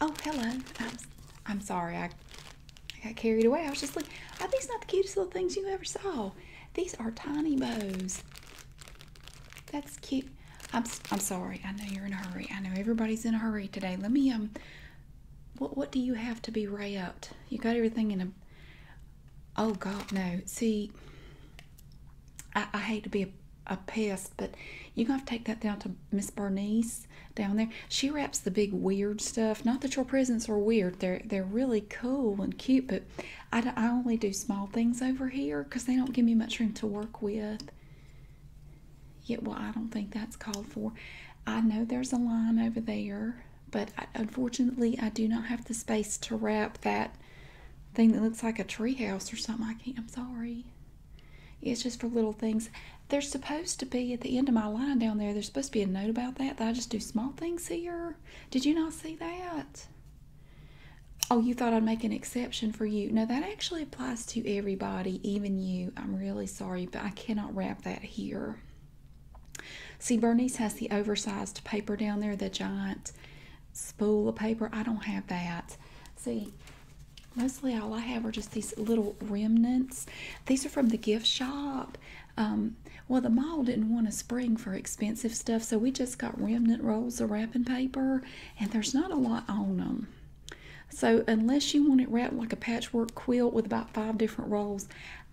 Oh, hello. I'm, I'm sorry. I, I got carried away. I was just like, are these not the cutest little things you ever saw? These are tiny bows. That's cute. I'm, I'm sorry. I know you're in a hurry. I know everybody's in a hurry today. Let me, um, what, what do you have to be wrapped? You got everything in a, oh God, no. See, I, hate to be a, pest, but you're gonna have to take that down to Miss Bernice down there. She wraps the big weird stuff. Not that your presents are weird; they're they're really cool and cute. But I, I only do small things over here because they don't give me much room to work with. Yet, yeah, well, I don't think that's called for. I know there's a line over there, but unfortunately, I do not have the space to wrap that thing that looks like a treehouse or something. I can't. I'm sorry. It's just for little things. There's supposed to be at the end of my line down there, there's supposed to be a note about that, I just do small things here. Did you not see that? Oh, you thought I'd make an exception for you. No, that actually applies to everybody, even you. I'm really sorry, but I cannot wrap that here. See, Bernice has the oversized paper down there, the giant spool of paper. I don't have that. See, mostly all I have are just these little remnants. These are from the gift shop. Um, well, the mall didn't want to spring for expensive stuff, so we just got remnant rolls of wrapping paper, and there's not a lot on them. So, unless you want it wrapped like a patchwork quilt with about five different rolls,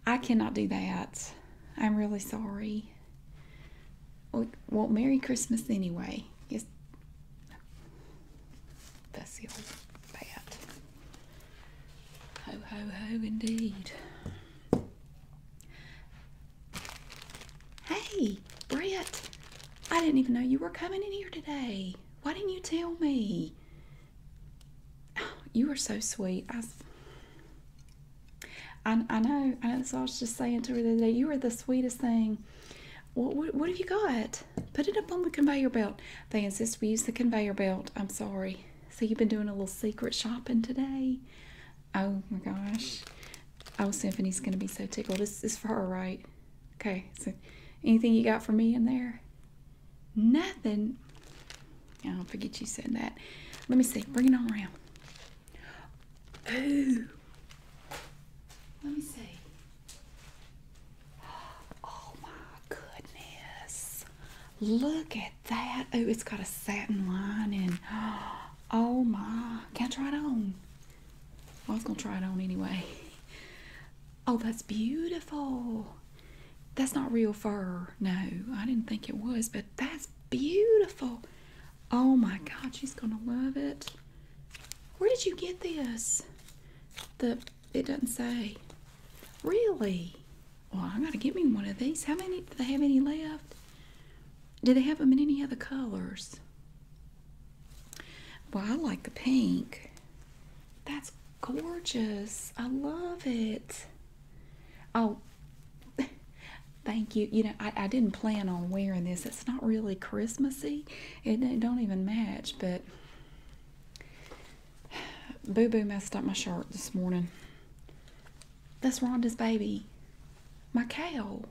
I cannot do that. I'm really sorry. Well, Merry Christmas anyway. It's that's the old bat. Ho, ho, ho, indeed. Hey, Brett, I didn't even know you were coming in here today. Why didn't you tell me? Oh, you were so sweet. I, I, I know, I know that's I was just saying to her the You were the sweetest thing. What, what, have you got? Put it up on the conveyor belt. They insist we use the conveyor belt. I'm sorry. So you've been doing a little secret shopping today? Oh my gosh. Oh, Symphony's going to be so tickled. This is for her, right? Okay. So anything you got for me in there? Nothing. I don't forget you said that. Let me see. Bring it on around. Ooh. Let me see. Oh my goodness. Look at that. Oh, it's got a satin lining. Oh my. Can not try it on? I was going to try it on anyway. Oh, that's beautiful. That's not real fur. No, I didn't think it was, but that's beautiful. Oh my God, she's going to love it. Where did you get this? The it doesn't say. Really? Well, I gotta get me one of these. How many do they have any left? Do they have them in any other colors? Well, I like the pink. That's gorgeous. I love it. Oh, thank you. You know, I didn't plan on wearing this. It's not really Christmassy, it, don't even match, but Boo Boo messed up my shirt this morning. That's Rhonda's baby. My cow.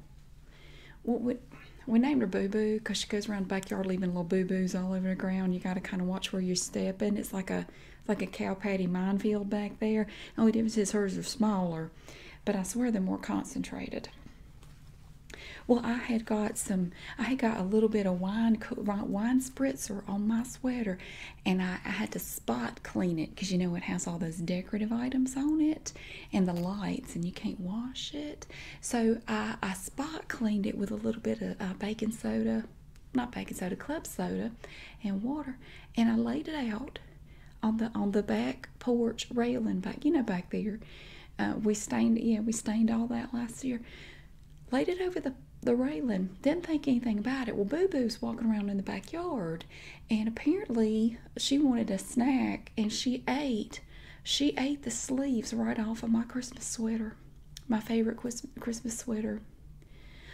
What would. We named her Boo Boo because she goes around the backyard leaving little boo boos all over the ground. You got to kind of watch where you're stepping. It's like a like a cow patty minefield back there. The only difference is hers are smaller, but I swear they're more concentrated. Well, I had got some, I had got a little bit of wine, wine spritzer on my sweater, and I, had to spot clean it because you know it has all those decorative items on it and the lights, and you can't wash it. So I, spot cleaned it with a little bit of uh, baking soda, not baking soda, club soda, and water, and I laid it out on the on the back porch railing back, you know, back there. Uh, we stained, yeah, we stained all that last year. Laid it over the the railing. Didn't think anything about it. Well, Boo Boo's walking around in the backyard, and apparently she wanted a snack, and she ate. She ate the sleeves right off of my Christmas sweater, my favorite Christmas sweater.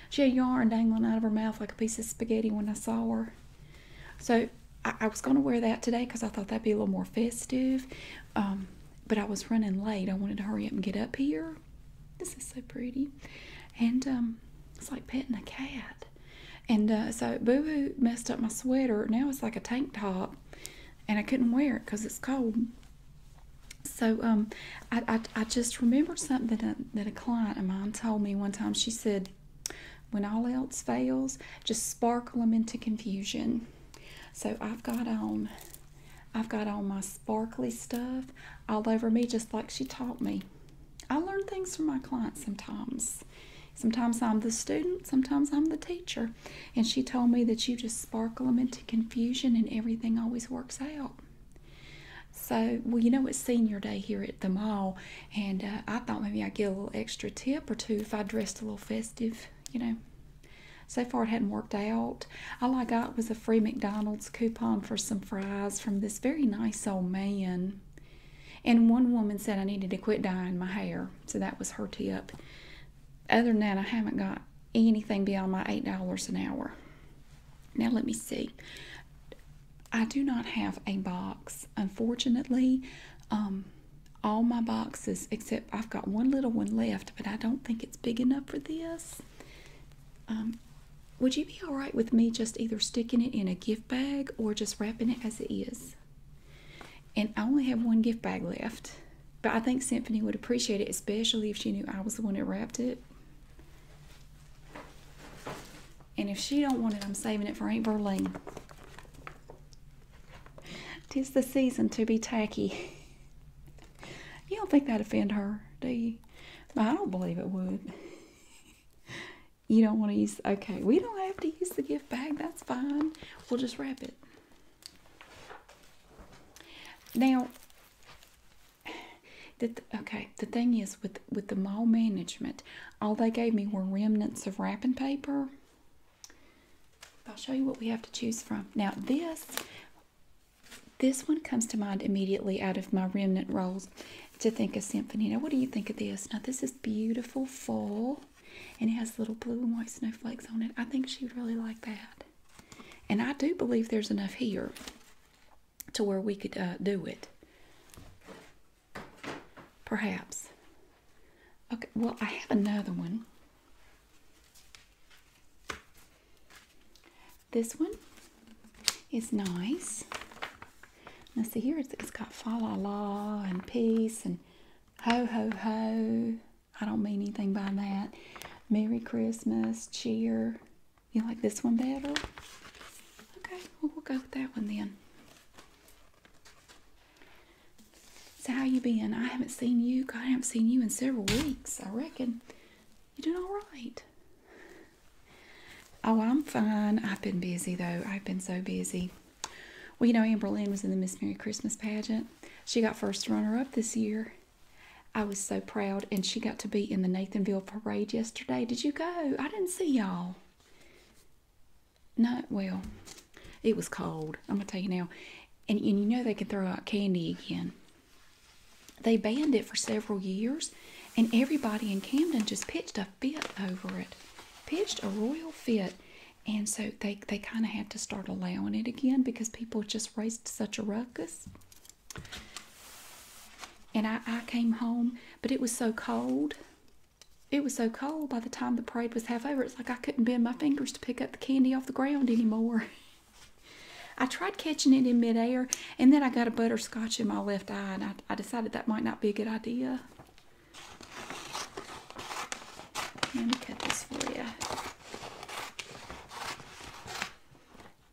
She had yarn dangling out of her mouth like a piece of spaghetti when I saw her. So I, was going to wear that today because I thought that'd be a little more festive. Um, but I was running late. I wanted to hurry up and get up here. This is so pretty. And um, it's like petting a cat. And uh, so Boo Boo messed up my sweater. Now it's like a tank top. And I couldn't wear it because it's cold. So um, I, just remembered something that a client of mine told me one time. She said, when all else fails, just sparkle them into confusion. So I've got on I've got on my sparkly stuff all over me just like she taught me. I learn things from my clients sometimes. Sometimes I'm the student, sometimes I'm the teacher. And she told me that you just sparkle them into confusion and everything always works out. So, well, you know, it's senior day here at the mall, and uh, I thought maybe I'd get a little extra tip or two if I dressed a little festive you know. So far, it hadn't worked out. All I got was a free McDonald's coupon for some fries from this very nice old man. And one woman said I needed to quit dyeing my hair. So that was her tip. Other than that, I haven't got anything beyond my $8 an hour. Now, let me see. I do not have a box, unfortunately. Um, all my boxes except I've got one little one left, but I don't think it's big enough for this. Um, would you be all right with me just either sticking it in a gift bag or just wrapping it as it is? And I only have one gift bag left, but I think Symphony would appreciate it, especially if she knew I was the one that wrapped it. And if she don't want it, I'm saving it for Aunt Berlin. Tis the season to be tacky. You don't think that'd offend her, do you? I don't believe it would. you don't want to use, okay, we don't have to use the gift bag. That's fine. We'll just wrap it. Now, the okay, the thing is with, with the mall management, all they gave me were remnants of wrapping paper I'll show you what we have to choose from. Now this, this one comes to mind immediately out of my remnant rolls to think of symphony. Now what do you think of this? Now this is beautiful fall and it has little blue and white snowflakes on it. I think she'd really like that. And I do believe there's enough here to where we could uh, do it. Perhaps. Okay, well, I have another one. This one is nice. Now, see here, it's got fa la la and peace and ho ho ho. I don't mean anything by that. Merry Christmas, cheer. You like this one better? Okay, we'll go with that one then. So how you been? I haven't seen you. God, I haven't seen you in several weeks. I reckon you doing all right. Oh, I'm fine. I've been busy though. I've been so busy. Well, you know, Amber Lynn was in the Miss Mary Christmas pageant. She got first runner up this year. I was so proud, and she got to be in the Nathanville parade yesterday. Did you go? I didn't see y'all. No, well, it was cold. I'm gonna tell you now. And, and you know they can throw out candy again. They banned it for several years, and everybody in Camden just pitched a fit over it, pitched a royal fit. And so they, they kind of had to start allowing it again because people just raised such a ruckus. And I, I came home, but it was so cold. It was so cold by the time the parade was half over. Like I couldn't bend my fingers to pick up the candy off the ground anymore. I tried catching it in midair, and then I got a butterscotch in my left eye, and I, I decided that might not be a good idea. Let me cut this for you.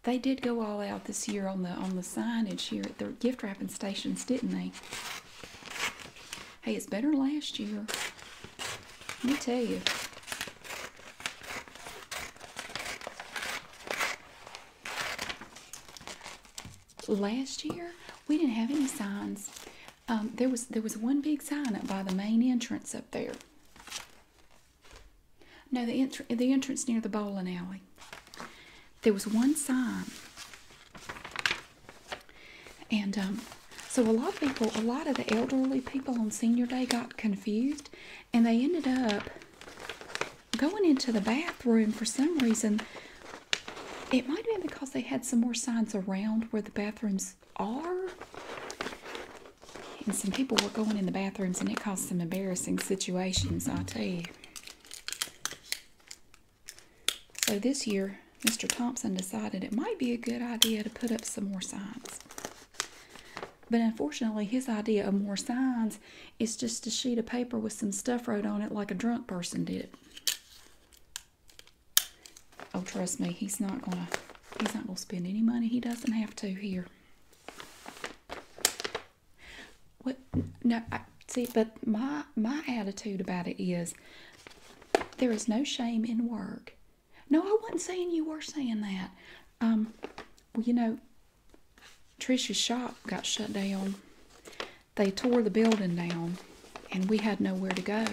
They did go all out this year on the on the signage here at the gift wrapping stations, didn't they? Hey, it's better last year. Let me tell you. Last year, we didn't have any signs. Um, there was there was one big sign up by the main entrance up there. No, the entr the entrance near the bowling alley. There was one sign. And um, so a lot of people, a lot of the elderly people on senior day got confused and they ended up going into the bathroom for some reason. It might have been because they had some more signs around where the bathrooms are. And some people were going in the bathrooms and it caused some embarrassing situations, I tell you. So this year, Mr. Thompson decided it might be a good idea to put up some more signs. But unfortunately, his idea of more signs is just a sheet of paper with some stuff wrote on it like a drunk person did. Oh, trust me, he's not gonna he's not gonna spend any money he doesn't have to here. What? No, I, see, but my my attitude about it is there is no shame in work. No, I wasn't saying you were saying that. Um, well, you know, Trisha's shop got shut down. They tore the building down, and we had nowhere to go.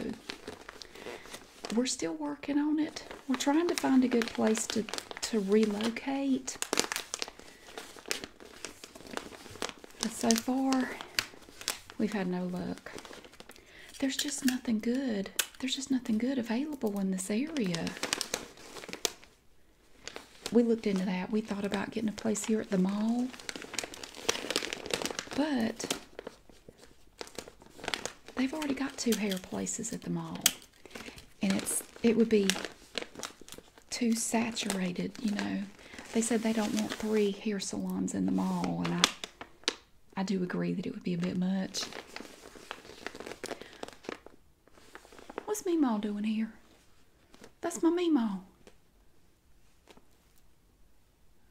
We're still working on it. We're trying to find a good place to, to relocate. But so far, we've had no luck. There's just nothing good. There's just nothing good available in this area. We looked into that. We thought about getting a place here at the mall. But they've already got two hair places at the mall. And it's it would be too saturated, you know. They said they don't want three hair salons in the mall and I I do agree that it would be a bit much. What's Meemaw doing here? That's my Meemaw.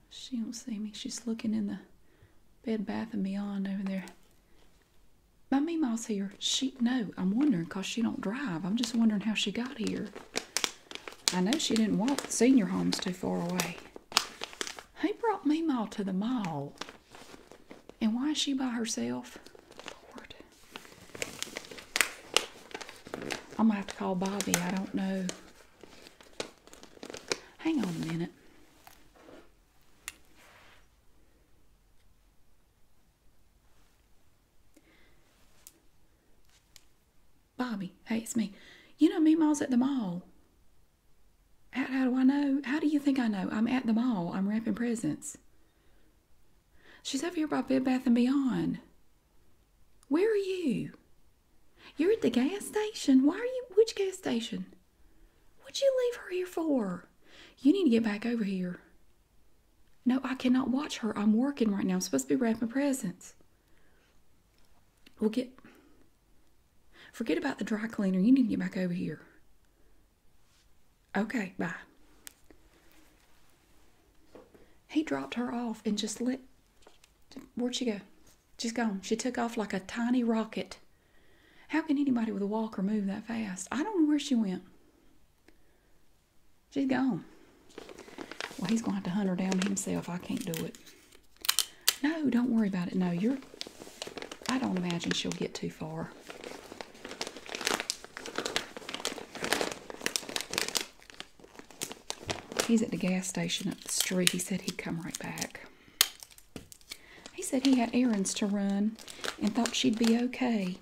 She don't see me. She's looking in the Bed Bath and Beyond over there. My Meemaw's here. She, no, I'm wondering because she don't drive. I'm just wondering how she got here. I know she didn't walk the senior home's too far away. He brought Meemaw to the mall? And why is she by herself? Lord. I'm gonna have to call Bobby. I don't know. Hang on a minute. Bobby, hey, it's me. You know, Meemaw's at the mall. How, do I know? How do you think I know? I'm at the mall. I'm wrapping presents. She's over here by Bed Bath and Beyond. Where are you? You're at the gas station. Why are you? Which gas station? What'd you leave her here for? You need to get back over here. No, I cannot watch her. I'm working right now. I'm supposed to be wrapping presents. We'll get. Forget about the dry cleaner. You need to get back over here. Okay, bye. He dropped her off and just let. Where'd she go? She's gone. She took off like a tiny rocket. How can anybody with a walker move that fast? I don't know where she went. She's gone. Well, he's going to have to hunt her down himself. I can't do it. No, don't worry about it. No, you're. I don't imagine she'll get too far. He's at the gas station up the street. He said he'd come right back. He said he had errands to run and thought she'd be okay.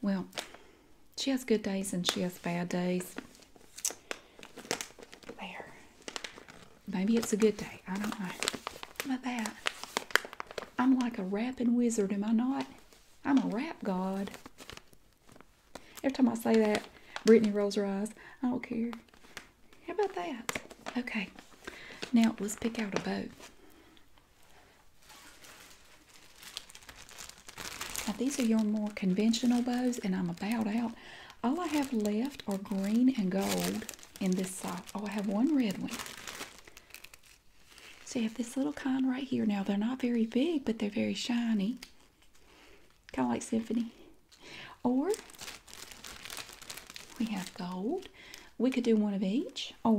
Well, she has good days and she has bad days. There. Maybe it's a good day. I don't know. How about that? I'm like a rapping wizard, am I not? I'm a rap god. Every time I say that, Brittany rolls her eyes. I don't care. How about that? Okay. Now let's pick out a bow. Now these are your more conventional bows, and I'm about out all I have left are green and gold in this sock. Oh, I have one red one. So you have this little kind right here. Now they're not very big, but they're very shiny. Kind of like Symphony. Or we have gold. We could do one of each. Or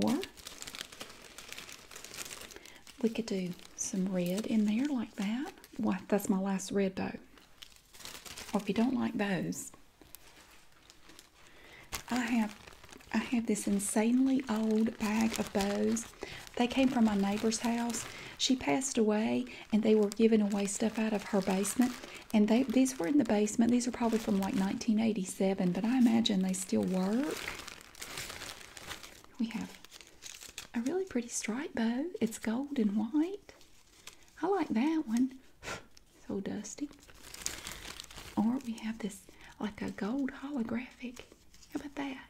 we could do some red in there like that. What? That's my last red bow or if you don't like those, I have I have this insanely old bag of bows. They came from my neighbor's house. She passed away, and they were giving away stuff out of her basement. And these were in the basement. These are probably from like 1987, but I imagine they still work. We have a really pretty stripe bow. It's gold and white. I like that one. so dusty. Or we have this like a gold holographic. How about that?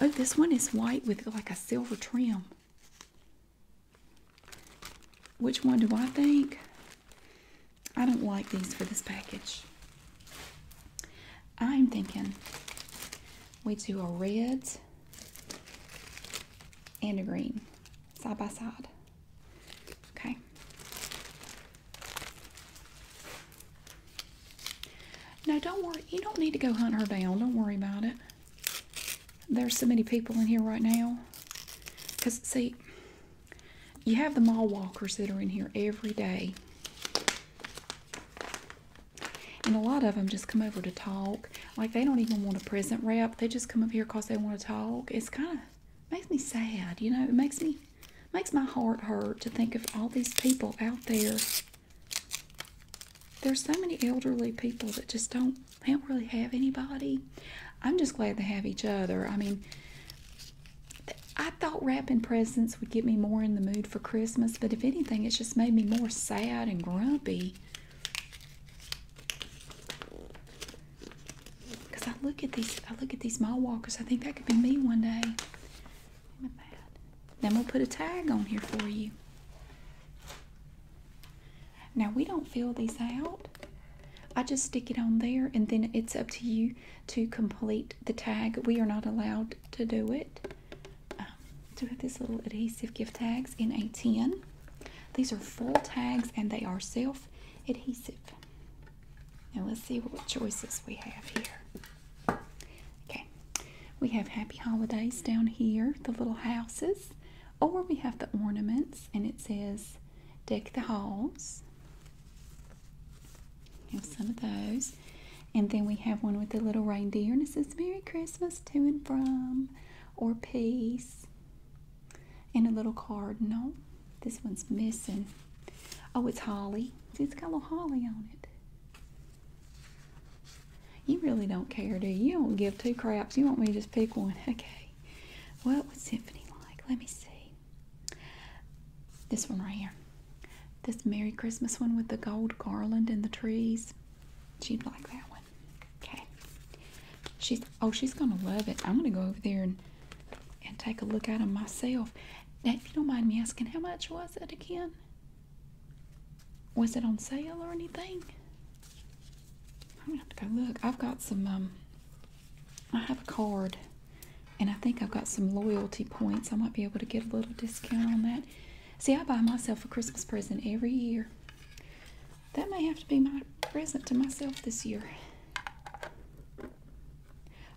Oh, this one is white with like a silver trim. Which one do I think? I don't like these for this package. I'm thinking we do a red and a green side by side. Okay. Now don't worry, you don't need to go hunt her down. Don't worry about it. There's so many people in here right now. Because see, you have the mall walkers that are in here every day. And a lot of them just come over to talk. Like they don't even want a present wrap. They just come up here because they want to talk. It's kind of makes me sad, you know. It makes me makes my heart hurt to think of all these people out there. There's so many elderly people that just don't they don't really have anybody. I'm just glad they have each other. I mean, I thought wrapping presents would get me more in the mood for Christmas, but if anything, it's just made me more sad and grumpy. Cause I look at these, I look at these mall walkers. I think that could be me one day. Look at that. Then we'll put a tag on here for you. Now we don't fill these out. I just stick it on there and then it's up to you to complete the tag. We are not allowed to do it um, do have these little adhesive gift tags in a ten. These are full tags and they are self adhesive. Now let's see what choices we have here. Okay, we have Happy Holidays down here, the little houses, or we have the ornaments and it says Deck the Halls. We have some of those. And then we have one with the little reindeer and it says Merry Christmas to and from, or peace, and a little cardinal. This one's missing. Oh, it's holly. See, it's got a little holly on it. You really don't care, do you? You don't give two craps. You want me to just pick one. Okay. What was Symphony like? Let me see. This one right here. This Merry Christmas one with the gold garland and the trees. She'd like that one. Okay. She's oh she's gonna love it. I'm gonna go over there and and take a look at them myself. Now, if you don't mind me asking, how much was it again? Was it on sale or anything? I'm gonna have to go look. I've got some um I have a card and I think I've got some loyalty points. I might be able to get a little discount on that. See, I buy myself a Christmas present every year. That may have to be my present to myself this year.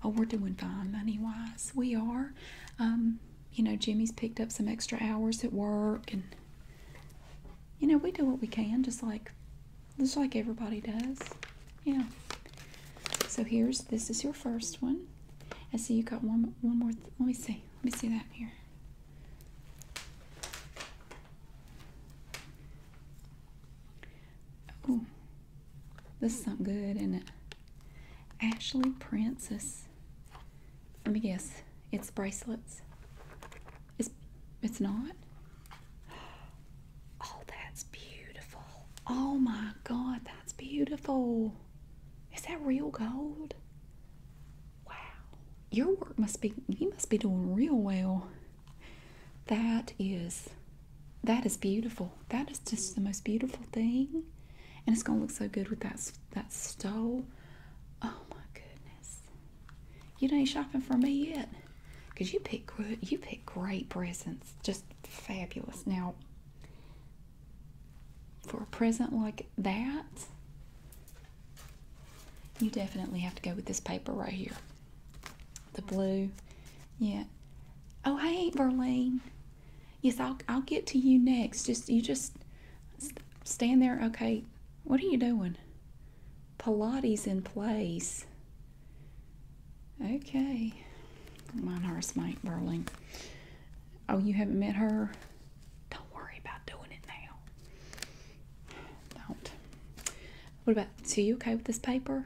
Oh, we're doing fine money wise. We are. Um, you know, Jimmy's picked up some extra hours at work, and you know, we do what we can, just like just like everybody does. Yeah. So here's this is your first one. I see, you got one one more. Let me see. Let me see that here. Oh, this is not good, is it? Ashley Princess. Let me guess. It's bracelets. It's it's not. Oh, that's beautiful. Oh my god, that's beautiful. Is that real gold? Wow your work must be you must be doing real well that is that is beautiful that is just the most beautiful thing and it's going to look so good with that that stole oh my goodness you ain't shopping for me yet because you pick you pick great presents just fabulous now for a present like that you definitely have to go with this paper right here. The blue. Yeah. Oh, hey, Verlaine. Yes, I'll, I'll get to you next. Just, you just st stand there. Okay. What are you doing? Pilates in place. Okay. Mine horse mate Verlaine. Oh, you haven't met her? Don't worry about doing it now. Don't. What about, so you okay with this paper?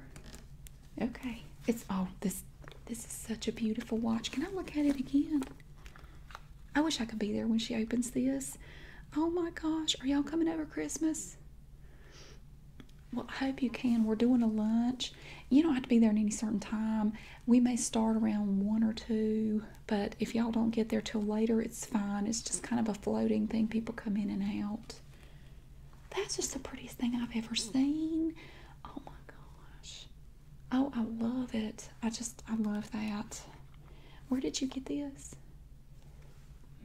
Okay. It's, oh, this, this is such a beautiful watch. Can I look at it again? I wish I could be there when she opens this. Oh my gosh, are y'all coming over Christmas? Well, I hope you can. We're doing a lunch. You don't have to be there at any certain time. We may start around 1 or 2. But if y'all don't get there till later, it's fine. It's just kind of a floating thing. People come in and out. That's just the prettiest thing I've ever seen. Oh my gosh. Oh, I love it. I just, I love that. Where did you get this?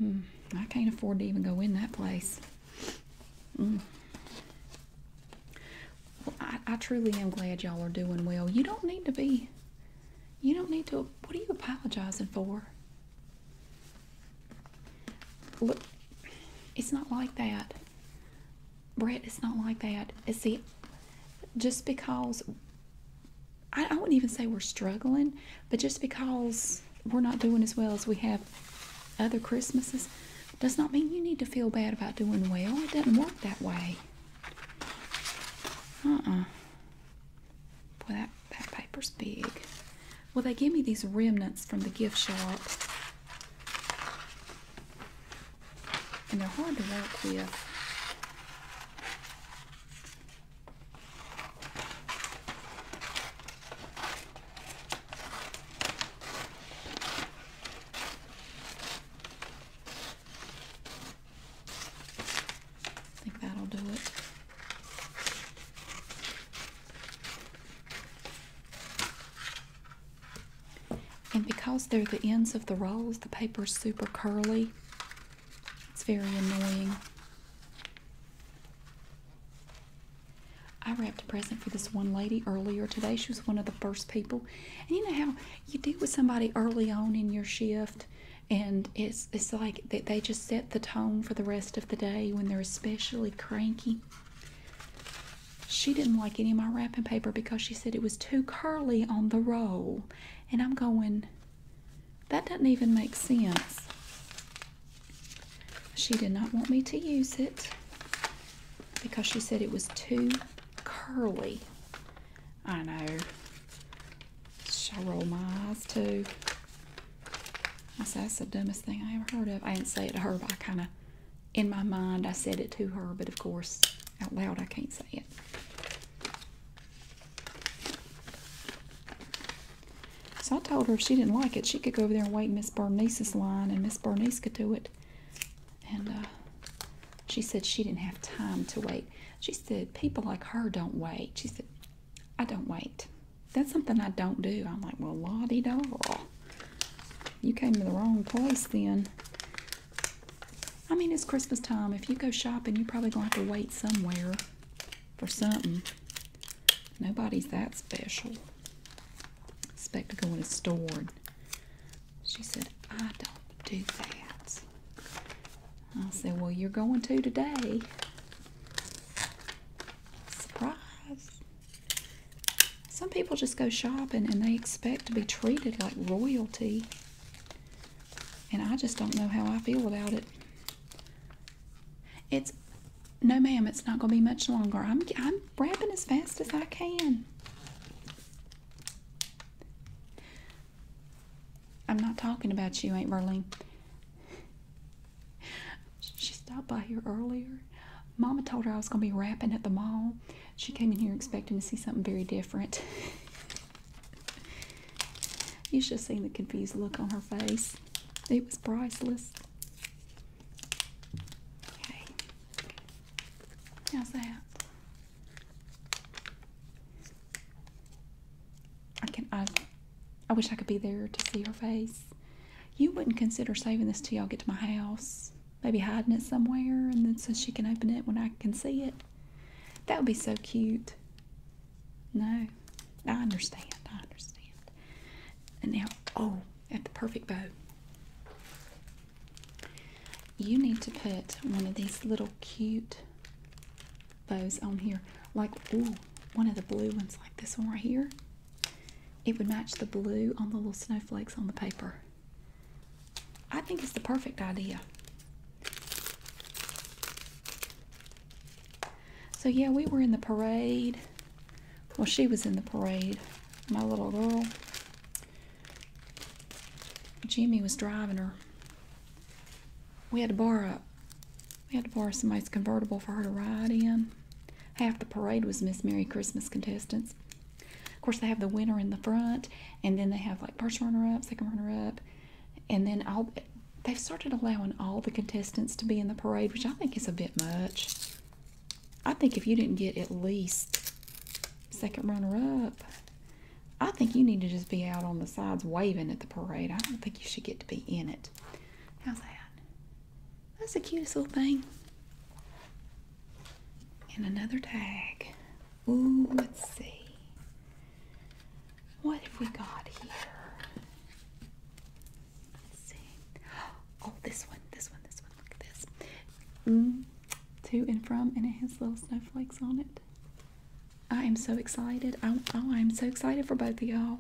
Mm, I can't afford to even go in that place. Mm. I truly am glad y'all are doing well. You don't need to be you don't need to. What are you apologizing for? Look, it's not like that. Brett, it's not like that. It's the, just because, I wouldn't even say we're struggling, but just because we're not doing as well as we have other Christmases does not mean you need to feel bad about doing well. It doesn't work that way. Uh-uh. Boy, that, that paper's big. Well, they give me these remnants from the gift shop. And they're hard to work with. I think that'll do it. And because they're the ends of the rolls, the paper's super curly. It's very annoying. I wrapped a present for this one lady earlier today. She was one of the first people. And you know how you deal with somebody early on in your shift and it's it's like they, they just set the tone for the rest of the day when they're especially cranky she didn't like any of my wrapping paper because she said it was too curly on the roll and i'm going that doesn't even make sense she did not want me to use it because she said it was too curly i know I roll my eyes too. I said, that's the dumbest thing I ever heard of. I didn't say it to her, but I kind of, in my mind, I said it to her, but of course, out loud, I can't say it. So I told her if she didn't like it, she could go over there and wait Miss Bernice's line, and Miss Bernice could do it. And uh, she said she didn't have time to wait. She said, People like her don't wait. She said, I don't wait. That's something I don't do. I'm like, Well, la doll, You came to the wrong place then. I mean, it's Christmas time. If you go shopping, you're probably going to have to wait somewhere for something. Nobody's that special. Expect to go in a store. She said, I don't do that. I said, Well, you're going to today. Surprise. Some people just go shopping and they expect to be treated like royalty. And I just don't know how I feel about it. It's no, ma'am, it's not going to be much longer. I'm, I'm wrapping as fast as I can. I'm not talking about you, Aunt Verlene. She stopped by here earlier. Mama told her I was going to be rapping at the mall. She came in here expecting to see something very different. you should have seen the confused look on her face. It was priceless. Okay. How's that? I can I I wish I could be there to see her face. You wouldn't consider saving this till I get to my house. Maybe hiding it somewhere and then so she can open it when I can see it. That would be so cute. No. I understand. I understand. And now, oh, at the perfect bow. You need to put one of these little cute those on here. Like, ooh, one of the blue ones, like this one right here. It would match the blue on the little snowflakes on the paper. I think it's the perfect idea. So, yeah, we were in the parade. Well, she was in the parade, my little girl. Jimmy was driving her we had to borrow we had to borrow somebody's convertible for her to ride in. Half the parade was Miss Merry Christmas contestants. Of course, they have the winner in the front, and then they have like first runner up, second runner up, and then all they've started allowing all the contestants to be in the parade, which I think is a bit much. I think if you didn't get at least second runner up, I think you need to just be out on the sides waving at the parade. I don't think you should get to be in it. How's that? That's the cutest little thing. And another tag. Ooh, let's see. What have we got here? Let's see. Oh, this one, this one, this one. Look at this. Mm, to and from, and it has little snowflakes on it. I am so excited. Oh, oh, I, am so excited for both of y'all.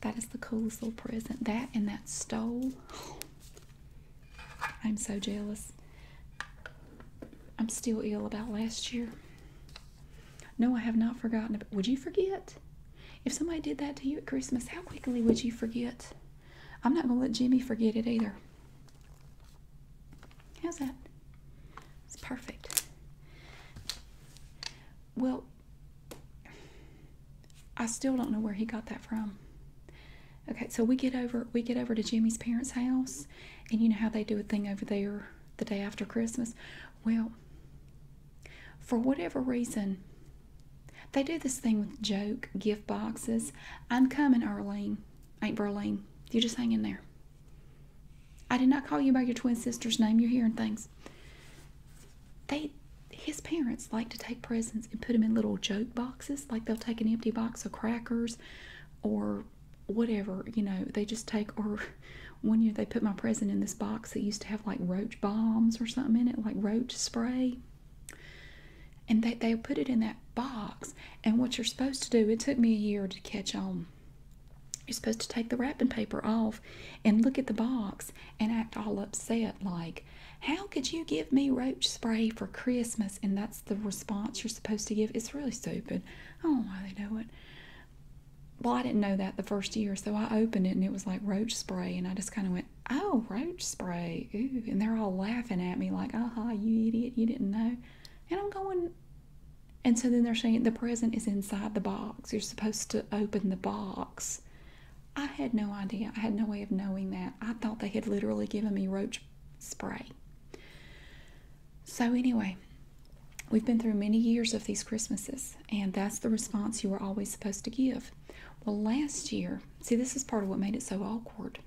That is the coolest little present. That and that stole. I'm so jealous. I'm still ill about last year. No, I have not forgotten. About, would you forget? If somebody did that to you at Christmas, how quickly would you forget? I'm not going to let Jimmy forget it either. How's that? It's perfect. Well, I still don't know where he got that from. Okay, so we get over we get over to Jimmy's parents' house, and you know how they do a thing over there the day after Christmas. Well, for whatever reason, they do this thing with joke gift boxes. I'm coming, Arlene. Ain't Berlin. You just hang in there. I did not call you by your twin sister's name. You're hearing things. They, his parents like to take presents and put them in little joke boxes. Like they'll take an empty box of crackers, or whatever. You know, they just take. Or one year they put my present in this box that used to have like roach bombs or something in it, like roach spray. And they they put it in that box. And what you're supposed to do. It took me a year to catch on. You're supposed to take the wrapping paper off and look at the box and act all upset, like, How could you give me roach spray for Christmas? And that's the response you're supposed to give. It's really stupid. I don't know why they do it. Well, I didn't know that the first year, so I opened it and it was like roach spray, and I just kind of went, Oh, roach spray. And they're all laughing at me, like, "Aha, you idiot, you didn't know. And I'm going, and so then they're saying the present is inside the box. You're supposed to open the box. I had no idea. I had no way of knowing that. I thought they had literally given me roach spray. So, anyway, we've been through many years of these Christmases, and that's the response you were always supposed to give. Well, last year, see, this is part of what made it so awkward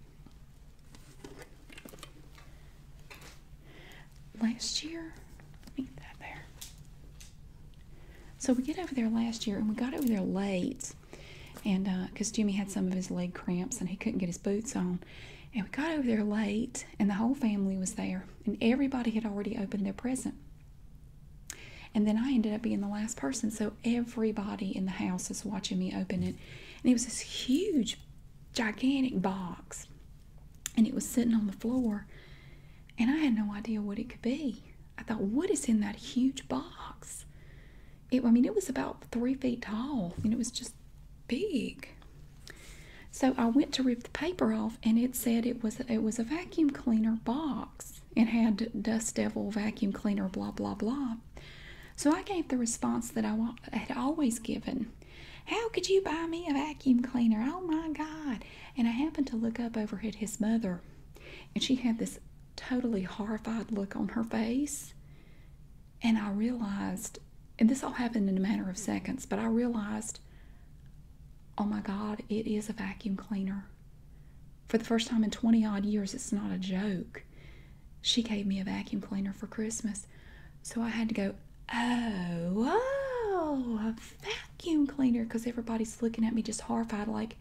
last year. So we get over there last year, and we got over there late, and because uh, Jimmy had some of his leg cramps and he couldn't get his boots on, and we got over there late, and the whole family was there, and everybody had already opened their present. And then I ended up being the last person, so everybody in the house was watching me open it, and it was this huge, gigantic box and it was sitting on the floor and I had no idea what it could be. I thought, what is in that huge box? It, I mean, it was about three feet tall and it was just big. So I went to rip the paper off and it said it was it was a vacuum cleaner box. and had dust devil vacuum cleaner, blah blah blah. So I gave the response that I had always given how could you buy me a vacuum cleaner? Oh my God. And I happened to look up over at his mother, and she had this totally horrified look on her face. And I realized, and this all happened in a matter of seconds, but I realized, oh my God, it is a vacuum cleaner. For the first time in 20 odd years, it's not a joke. She gave me a vacuum cleaner for Christmas. So I had to go, oh, oh, a vacuum cleaner, because everybody's looking at me just horrified, like,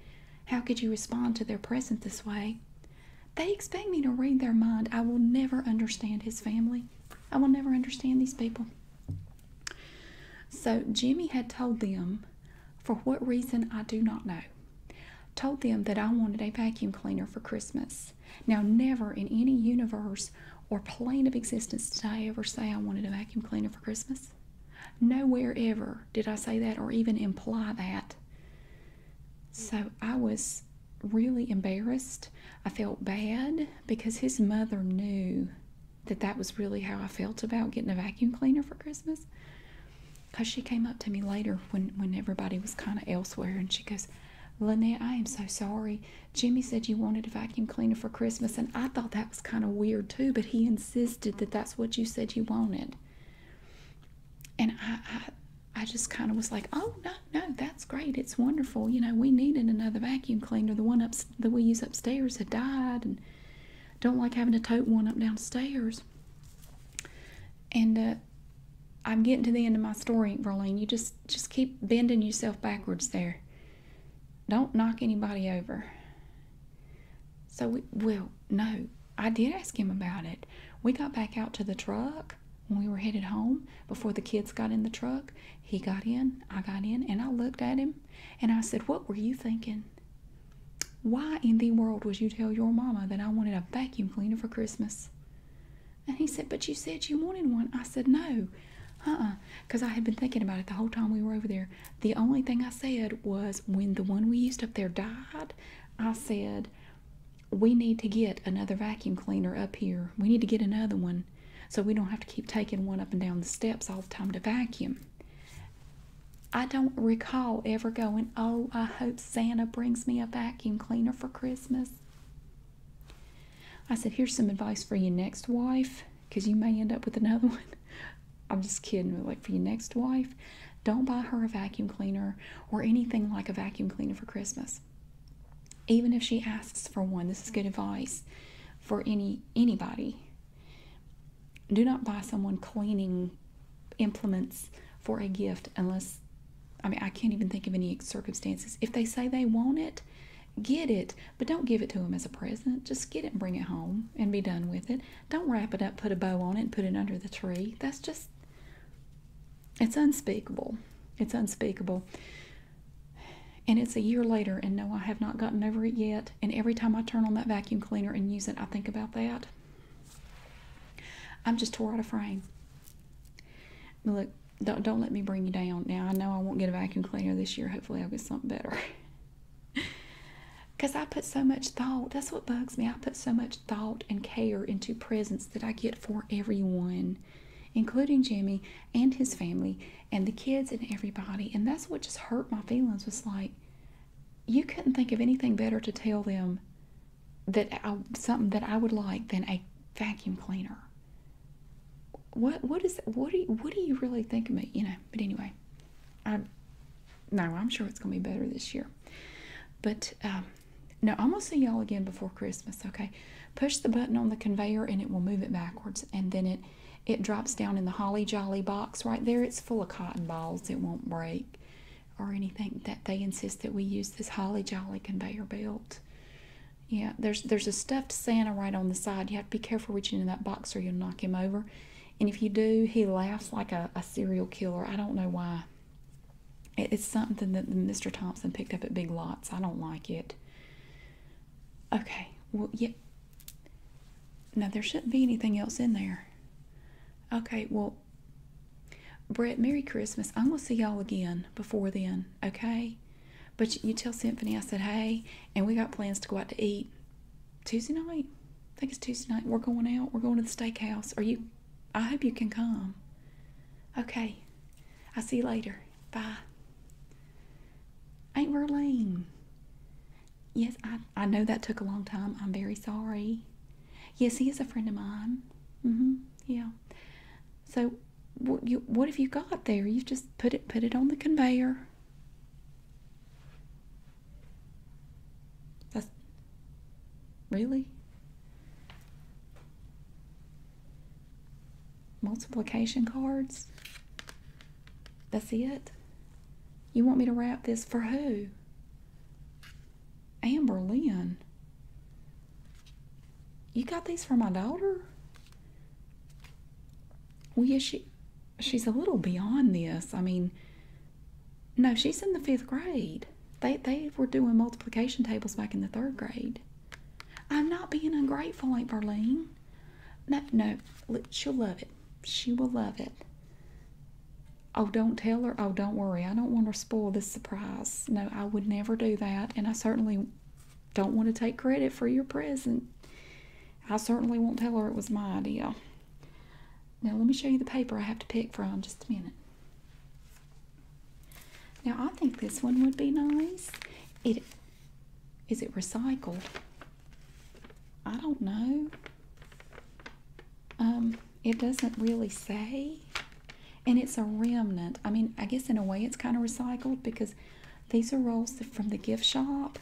how could you respond to their present this way? They expect me to read their mind. I will never understand his family. I will never understand these people. So Jimmy had told them, for what reason I do not know, told them that I wanted a vacuum cleaner for Christmas. Now, never in any universe or plane of existence did I ever say I wanted a vacuum cleaner for Christmas. Nowhere ever did I say that or even imply that. So I was really embarrassed. I felt bad because his mother knew that that was really how I felt about getting a vacuum cleaner for Christmas. Because she came up to me later when, when everybody was kind of elsewhere and she goes, Lynette, I am so sorry. Jimmy said you wanted a vacuum cleaner for Christmas, and I thought that was kind of weird too, but he insisted that that's what you said you wanted. And I, I, just kind of was like, oh, no, no, that's great. It's wonderful. You know, we needed another vacuum cleaner. The one that we use upstairs had died, and don't like having to tote one up downstairs. And, uh, I'm getting to the end of my story, Verlaine. You just just keep bending yourself backwards there. Don't knock anybody over. So, we, well, no, I did ask him about it. We got back out to the truck when we were headed home before the kids got in the truck. He got in, I got in, and I looked at him and I said, What were you thinking? Why in the world would you tell your mama that I wanted a vacuum cleaner for Christmas? And he said, But you said you wanted one. I said, No. Uh-uh. Because I had been thinking about it the whole time we were over there. The only thing I said was when the one we used up there died, I said, We need to get another vacuum cleaner up here. We need to get another one so we don't have to keep taking one up and down the steps all the time to vacuum. I don't recall ever going, Oh, I hope Santa brings me a vacuum cleaner for Christmas. I said, Here's some advice for your next wife, because you may end up with another one. I'm just kidding. Like, for your next wife, don't buy her a vacuum cleaner or anything like a vacuum cleaner for Christmas. Even if she asks for one, this is good advice for any anybody. Do not buy someone cleaning implements for a gift unless I mean I can't even think of any circumstances. If they say they want it, Get it, but don't give it to him as a present. Just get it bring it home and be done with it. Don't wrap it up, put a bow on it, put it under the tree. That's just, it's unspeakable. It's unspeakable. And it's a year later, and no, I have not gotten over it yet. And every time I turn on that vacuum cleaner and use it, I think about that. I'm just tore out of frame. But look, don't don't let me bring you down. Now I know I won't get a vacuum cleaner this year. Hopefully I'll get something better. Because I put so much thought. That's what bugs me. I put so much thought and care into presents that I get for everyone, including Jimmy and his family and the kids and everybody. And that's what just hurt my feelings was like, you couldn't think of anything better to tell them that I, something that I would like than a vacuum cleaner what what is what do you, what do you really think of me you know but anyway i no i'm sure it's going to be better this year but um, no i'm going to see y'all again before christmas okay push the button on the conveyor and it will move it backwards and then it it drops down in the holly jolly box right there it's full of cotton balls it won't break or anything that they insist that we use this holly jolly conveyor belt yeah, there's there's a stuffed Santa right on the side. You have to be careful reaching in that box or you'll knock him over. And if you do, he laughs like a, serial killer. I don't know why. It, it's something that Mr. Thompson picked up at Big Lots. I don't like it. Okay, well, yeah. Now, there shouldn't be anything else in there. Okay, well, Brett, Merry Christmas. I'm going to see y'all again before then, okay? But you tell Symphony, I said, hey, and we got plans to go out to eat Tuesday night. I think it's Tuesday night. We're going out. We're going to the steakhouse. Are you? I hope you can come. Okay. I'll see you later. Bye. Ain't Aunt lame? Yes, I, I know that took a long time. I'm very sorry. Yes, he is a friend of mine. Mm-hmm. Yeah. So what, you, what have you got there? You just put it put it on the conveyor. That's really multiplication cards. That's it. You want me to wrap this for who? Amber Lynn. You got these for my daughter? Well, yeah, she she's a little beyond this. I mean, no, she's in the fifth grade. They they were doing multiplication tables back in the third grade. I'm not being ungrateful, Aunt Berlene. No, no, she'll love it. She will love it. Oh, don't tell her. Oh, don't worry. I don't want to spoil this surprise. No, I would never do that, and I certainly don't want to take credit for your present. I certainly won't tell her it was my idea. Now, let me show you the paper I have to pick from just a minute. Now, I think this one would be nice. It is it recycled? I don't know. Um, it doesn't really say. And it's a remnant. I mean, I guess in a way it's kind of recycled because these are rolls from the gift shop.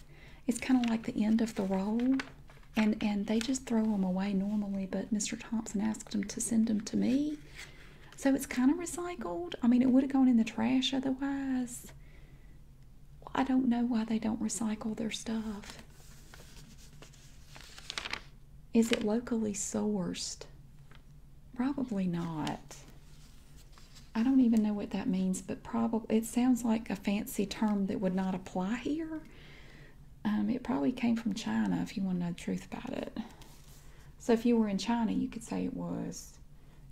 It's kind of like the end of the roll, and and they just throw them away normally. But Mr. Thompson asked them to send them to me, so it's kind of recycled. I mean, it would have gone in the trash otherwise. I don't know why they don't recycle their stuff. Is it locally sourced? Probably not. I don't even know what that means, but probably it sounds like a fancy term that would not apply here. Um, it probably came from China if you want to know the truth about it. So if you were in China, you could say it was.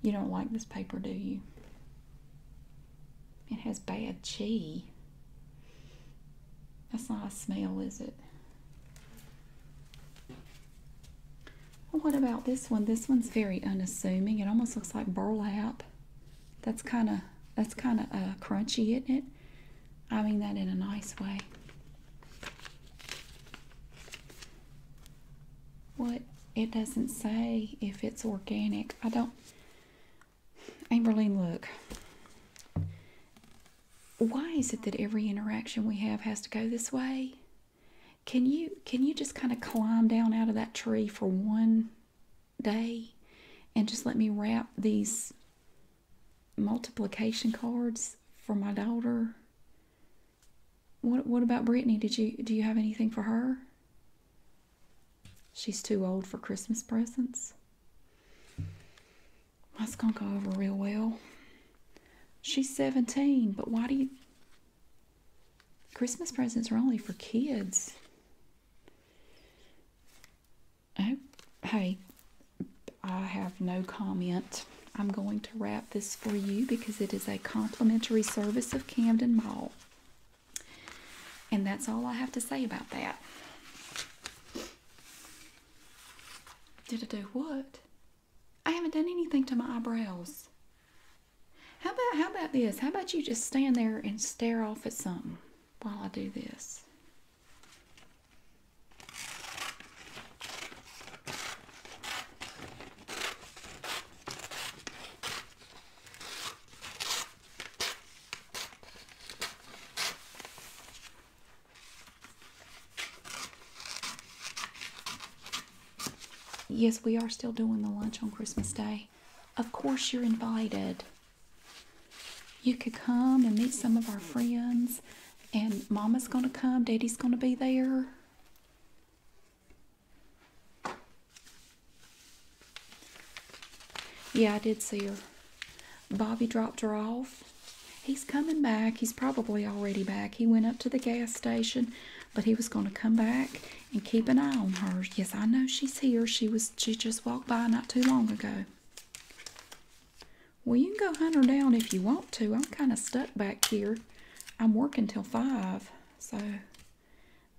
You don't like this paper, do you? It has bad chi. That's not a smell, is it? What about this one? This one's very unassuming. It almost looks like burlap. That's kind of that's kind of uh, crunchy, isn't it? I mean that in a nice way. What it doesn't say if it's organic. I don't. Amberlene, look. Why is it that every interaction we have has to go this way? can you can you just kind of climb down out of that tree for one day and just let me wrap these multiplication cards for my daughter what what about brittany did you do you have anything for her she's too old for christmas presents that's gonna go over real well she's 17 but why do you Christmas presents are only for kids. Oh, hey, I have no comment. I'm going to wrap this for you because it is a complimentary service of Camden Mall. And that's all I have to say about that. Did I do what? I haven't done anything to my eyebrows. How about how about this? How about you just stand there and stare off at something while I do this? Yes, we are still doing the lunch on Christmas Day. Of course, you're invited. You could come and meet some of our friends, and Mama's going to come, Daddy's going to be there. Yeah, I did see her. Bobby dropped her off. He's coming back. He's probably already back. He went up to the gas station, but he was going to come back and keep an eye on her. Yes, I know she's here. She was she just walked by not too long ago. Well, you can go hunt her down if you want to. I'm kind of stuck back here. I'm working till five, so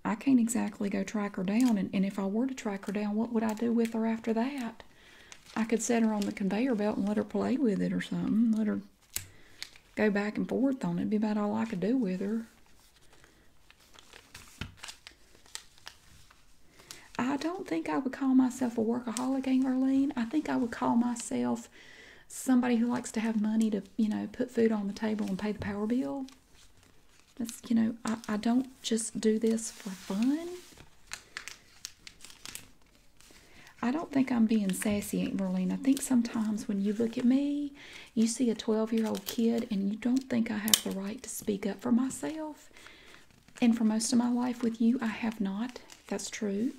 I can't exactly go track her down. And, if I were to track her down, what would I do with her after that? I could set her on the conveyor belt and let her play with it or something. Let her go back and forth on it. be about all I could do with her. I don't think I would call myself a workaholic, Angerline. I think I would call myself somebody who likes to have money to, you know, put food on the table and pay the power bill. That's, you know, I, don't just do this for fun. I don't think I'm being sassy, Aunt Marlene. I think sometimes when you look at me you see a 12 year old kid, and you don't think I have the right to speak up for myself. And for most of my life with you, I have not. That's true.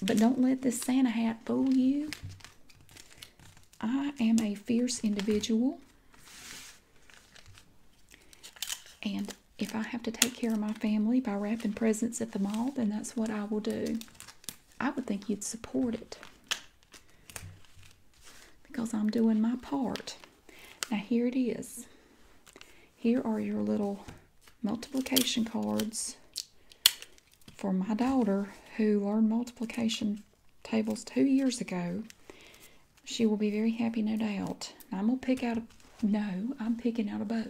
But don't let this Santa hat fool you. I am a fierce individual. And if I have to take care of my family by wrapping presents at the mall, then that's what I will do. I would think you'd support it because I'm doing my part. Now, here it is. Here are your little multiplication cards for my daughter who learned multiplication tables two years ago. She will be very happy, no doubt. I'm going to pick out a... No, I'm picking out a bow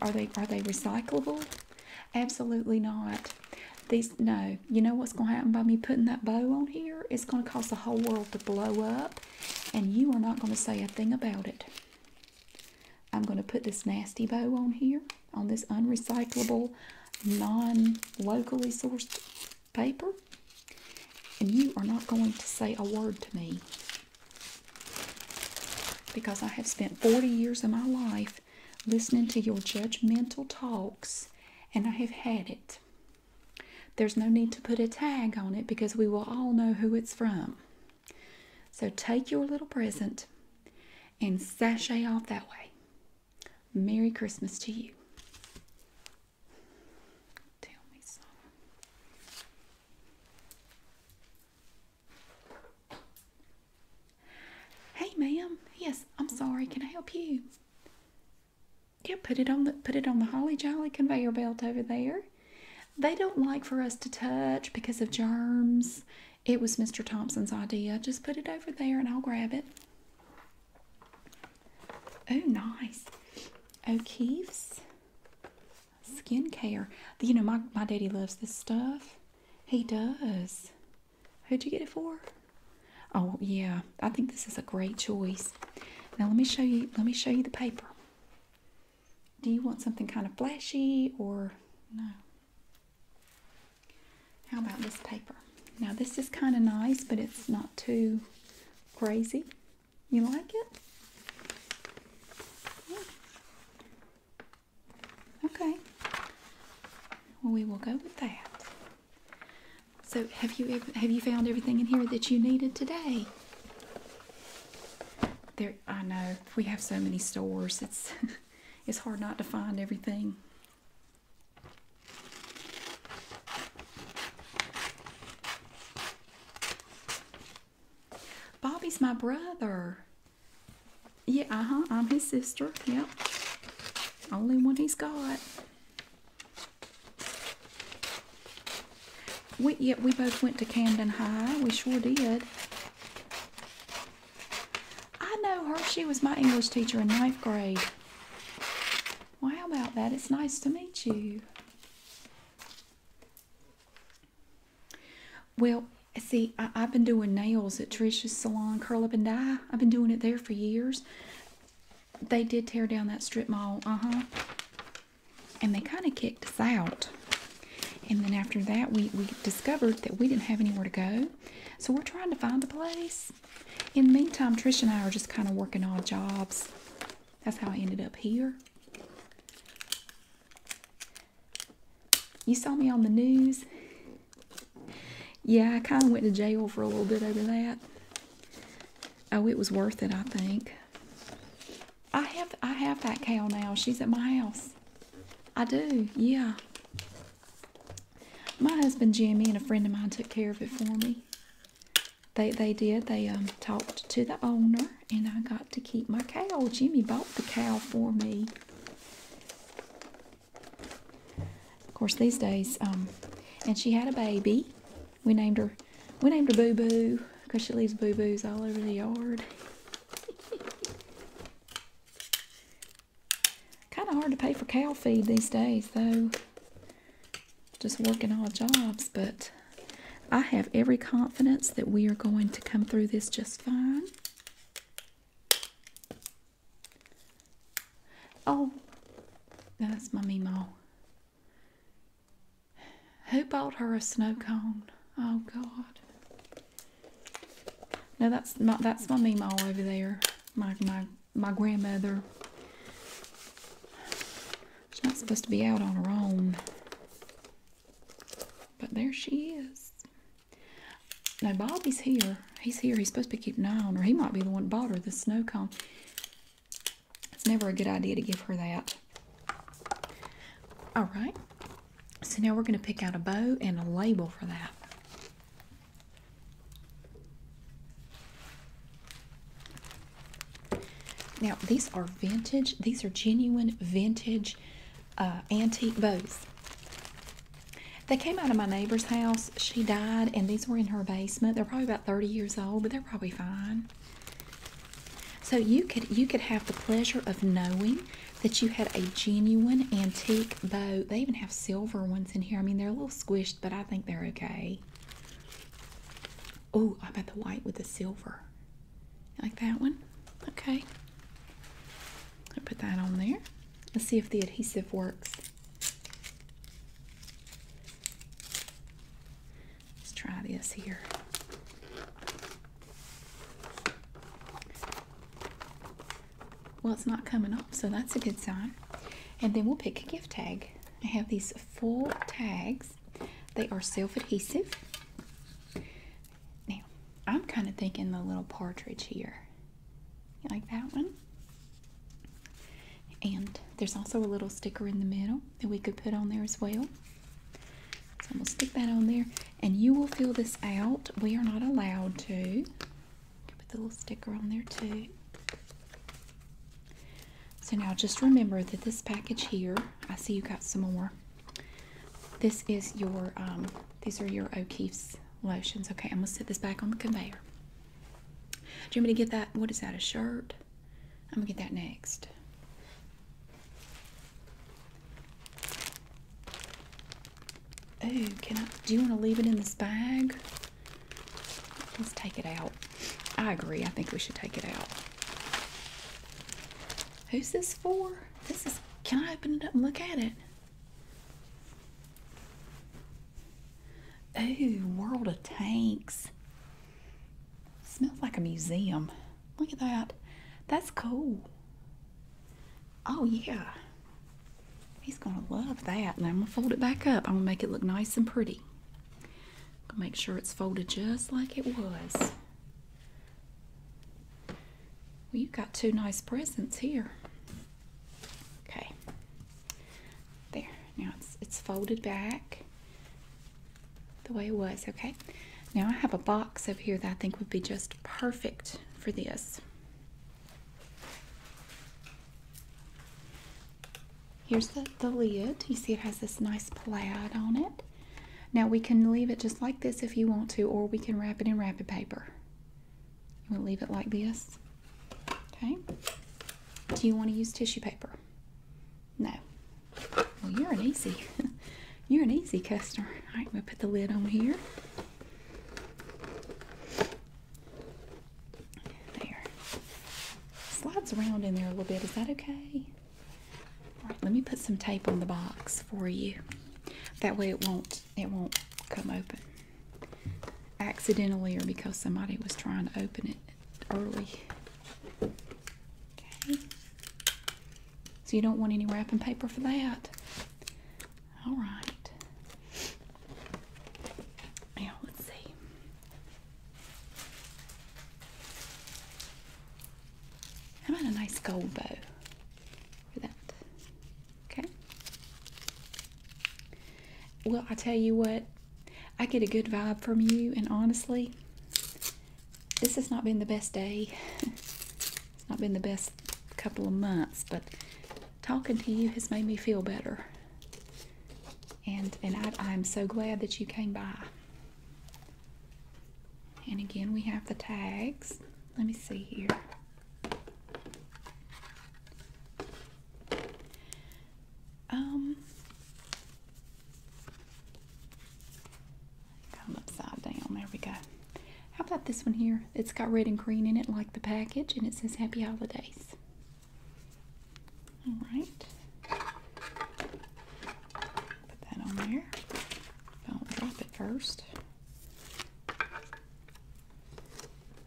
are they are they recyclable? Absolutely not. These no. You know what's gonna happen by me putting that bow on here? It's gonna cause the whole world to blow up, and you are not gonna say a thing about it. I'm gonna put this nasty bow on here on this unrecyclable, non-locally sourced paper, and you are not going to say a word to me. Because I have spent 40 years of my life listening to your judgmental talks, and I have had it. There's no need to put a tag on it because we will all know who it's from. So take your little present and sashay off that way. Merry Christmas to you. Tell me so. Hey, ma'am. Yes, I'm sorry. Can I help you? Yeah, put it on the put it on the holly jolly conveyor belt over there. They don't like for us to touch because of germs. It was Mr. Thompson's idea. Just put it over there and I'll grab it. Oh, nice. O'Keefe's skincare. You know, my, my daddy loves this stuff. He does. Who'd you get it for? Oh yeah, I think this is a great choice. Now let me show you let me show you the paper. Do you want something kind of flashy or no? How about this paper? Now this is kind of nice, but it's not too crazy. You like it? Okay. Well, we will go with that. So, have you have you found everything in here that you needed today? There, I know we have so many stores. It's it's hard not to find everything. Bobby's my brother. Yeah, uh huh. I'm his sister. Yep. Only one he's got. We, yeah, we both went to Camden High. We sure did. I know her. She was my English teacher in ninth grade. Wow, about that? It's nice to meet you. Well, see, I, have been doing nails at Trisha's salon, curl up and Die. I've been doing it there for years. They did tear down that strip mall, uh-huh. And they kind of kicked us out. And then after that, we, we discovered that we didn't have anywhere to go. So we're trying to find a place. In the meantime, Trisha and I are just kind of working odd jobs. That's how I ended up here. You saw me on the news. Yeah, I kind of went to jail for a little bit over that. Oh, it was worth it, I think. I have I have that cow now. She's at my house. I do, yeah. My husband Jimmy and a friend of mine took care of it for me. They they did. They um talked to the owner and I got to keep my cow. Jimmy bought the cow for me. Of course, these days, um, and she had a baby. We named her, we named her Boo Boo because she leaves boo boos all over the yard. kind of hard to pay for cow feed these days, though. Just working odd jobs, but I have every confidence that we are going to come through this just fine. Oh, that's my Mimo. Who bought her a snow cone? Oh God. No, that's my that's my Mimo over there. My my my grandmother. She's not supposed to be out on her own. But there she is. Now Bobby's here. He's here. He's supposed to be keeping an eye on her. He might be the one that bought her the snow cone. It's never a good idea to give her that. All right. So now we're going to pick out a bow and a label for that. Now, these are vintage. These are genuine vintage uh, antique bows. They came out of my neighbor's house. She died, and these were in her basement. They're probably about 30 years old, but they're probably fine. So you could you could have the pleasure of knowing that you had a genuine antique bow. They even have silver ones in here. I mean, they're a little squished, but I think they're okay. Oh, I bet the white with the silver like that one? Okay. I put that on there. Let's see if the adhesive works. Let's try this here. Well, it's not coming off, so that's a good sign. And then we'll pick a gift tag. I have these four tags. They are self-adhesive. Now, I'm kind of thinking the little partridge here. You like that one? And there's also a little sticker in the middle that we could put on there as well. So I'm going to stick that on there. And you will fill this out. We are not allowed to. Put the little sticker on there too. So now just remember that this package here, I see you got some more. This is your, um, these are your O'Keefe's lotions. Okay, I'm gonna set this back on the conveyor. Do you want me to get that? What is that? A shirt? I'm gonna get that next. Oh, can I? Do you want to leave it in this bag? Let's take it out. I agree. I think we should take it out. Who's this for? This is, can I open it up and look at it? Ooh, World of Tanks. Smells like a museum. Look at that. That's cool. Oh, yeah. He's going to love that. And I'm going to fold it back up. I'm going to make it look nice and pretty. going to make sure it's folded just like it was. Well, you got two nice presents here. Okay. There. Now it's it's folded back the way it was, okay? Now I have a box over here that I think would be just perfect for this. Here's the, the lid. You see it has this nice plaid on it. Now we can leave it just like this if you want to, or we can wrap it in wrapping paper. We'll leave it like this? Okay. Do you want to use tissue paper? No. Well, you're an easy, you're an easy customer. All right, we'll put the lid on here. There. Slides around in there a little bit. Is that okay? All right, let me put some tape on the box for you. That way it won't it won't come open accidentally or because somebody was trying to open it early. Okay. So you don't want any wrapping paper for that. All right. Now let's see. How about a nice gold bow? for that. Okay. Well, I tell you what, I get a good vibe from you, and honestly, this has not been the best day. it's not been the best couple of months, but talking to you has made me feel better. And and I, I'm so glad that you came by. And again, we have the tags. Let me see here. Um, come upside down. There we go. How about this one here? It's got red and green in it, like the package, and it says Happy Holidays. All right. Put that on there. Don't drop it first.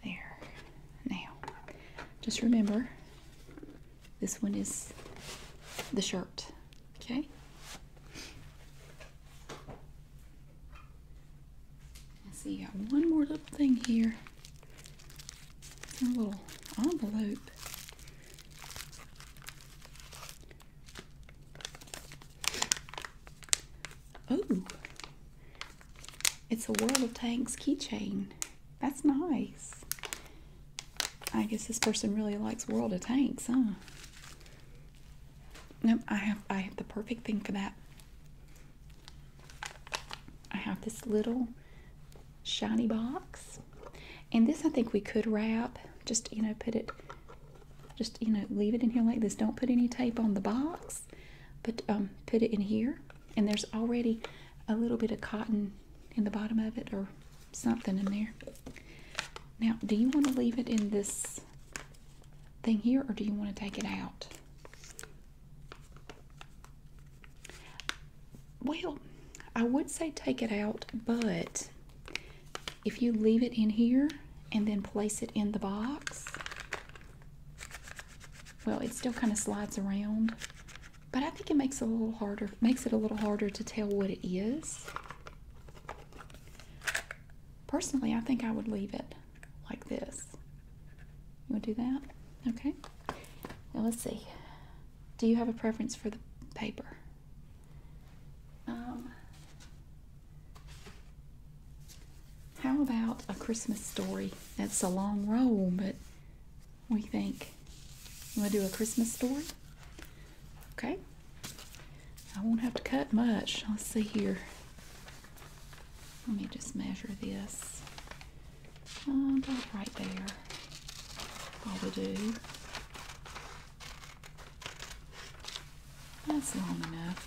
There. Now, just remember this one is the shirt, okay? Let's see, got one more little thing here. A little envelope. Oh, it's a World of Tanks keychain. That's nice. I guess this person really likes World of Tanks, huh? Nope, I have I have the perfect thing for that. I have this little shiny box. And this I think we could wrap. Just, you know, put it just, you know, leave it in here like this. Don't put any tape on the box, but um, put it in here. And there's already a little bit of cotton in the bottom of it or something in there. Now, do you want to leave it in this thing here or do you want to take it out? Well, I would say take it out, but if you leave it in here and then place it in the box, well, it still kind of slides around, but I think it makes it a little harder, makes it a little harder to tell what it is. Personally, I think I would leave it like this. You want to do that? Okay. Now let's see. Do you have a preference for the paper? Um, how about A Christmas Story? That's a long roll, but we think we am going to do A Christmas Story. Okay. I won't have to cut much. Let's see here. Let me just measure this. Uh, right there. All we do. That's long enough.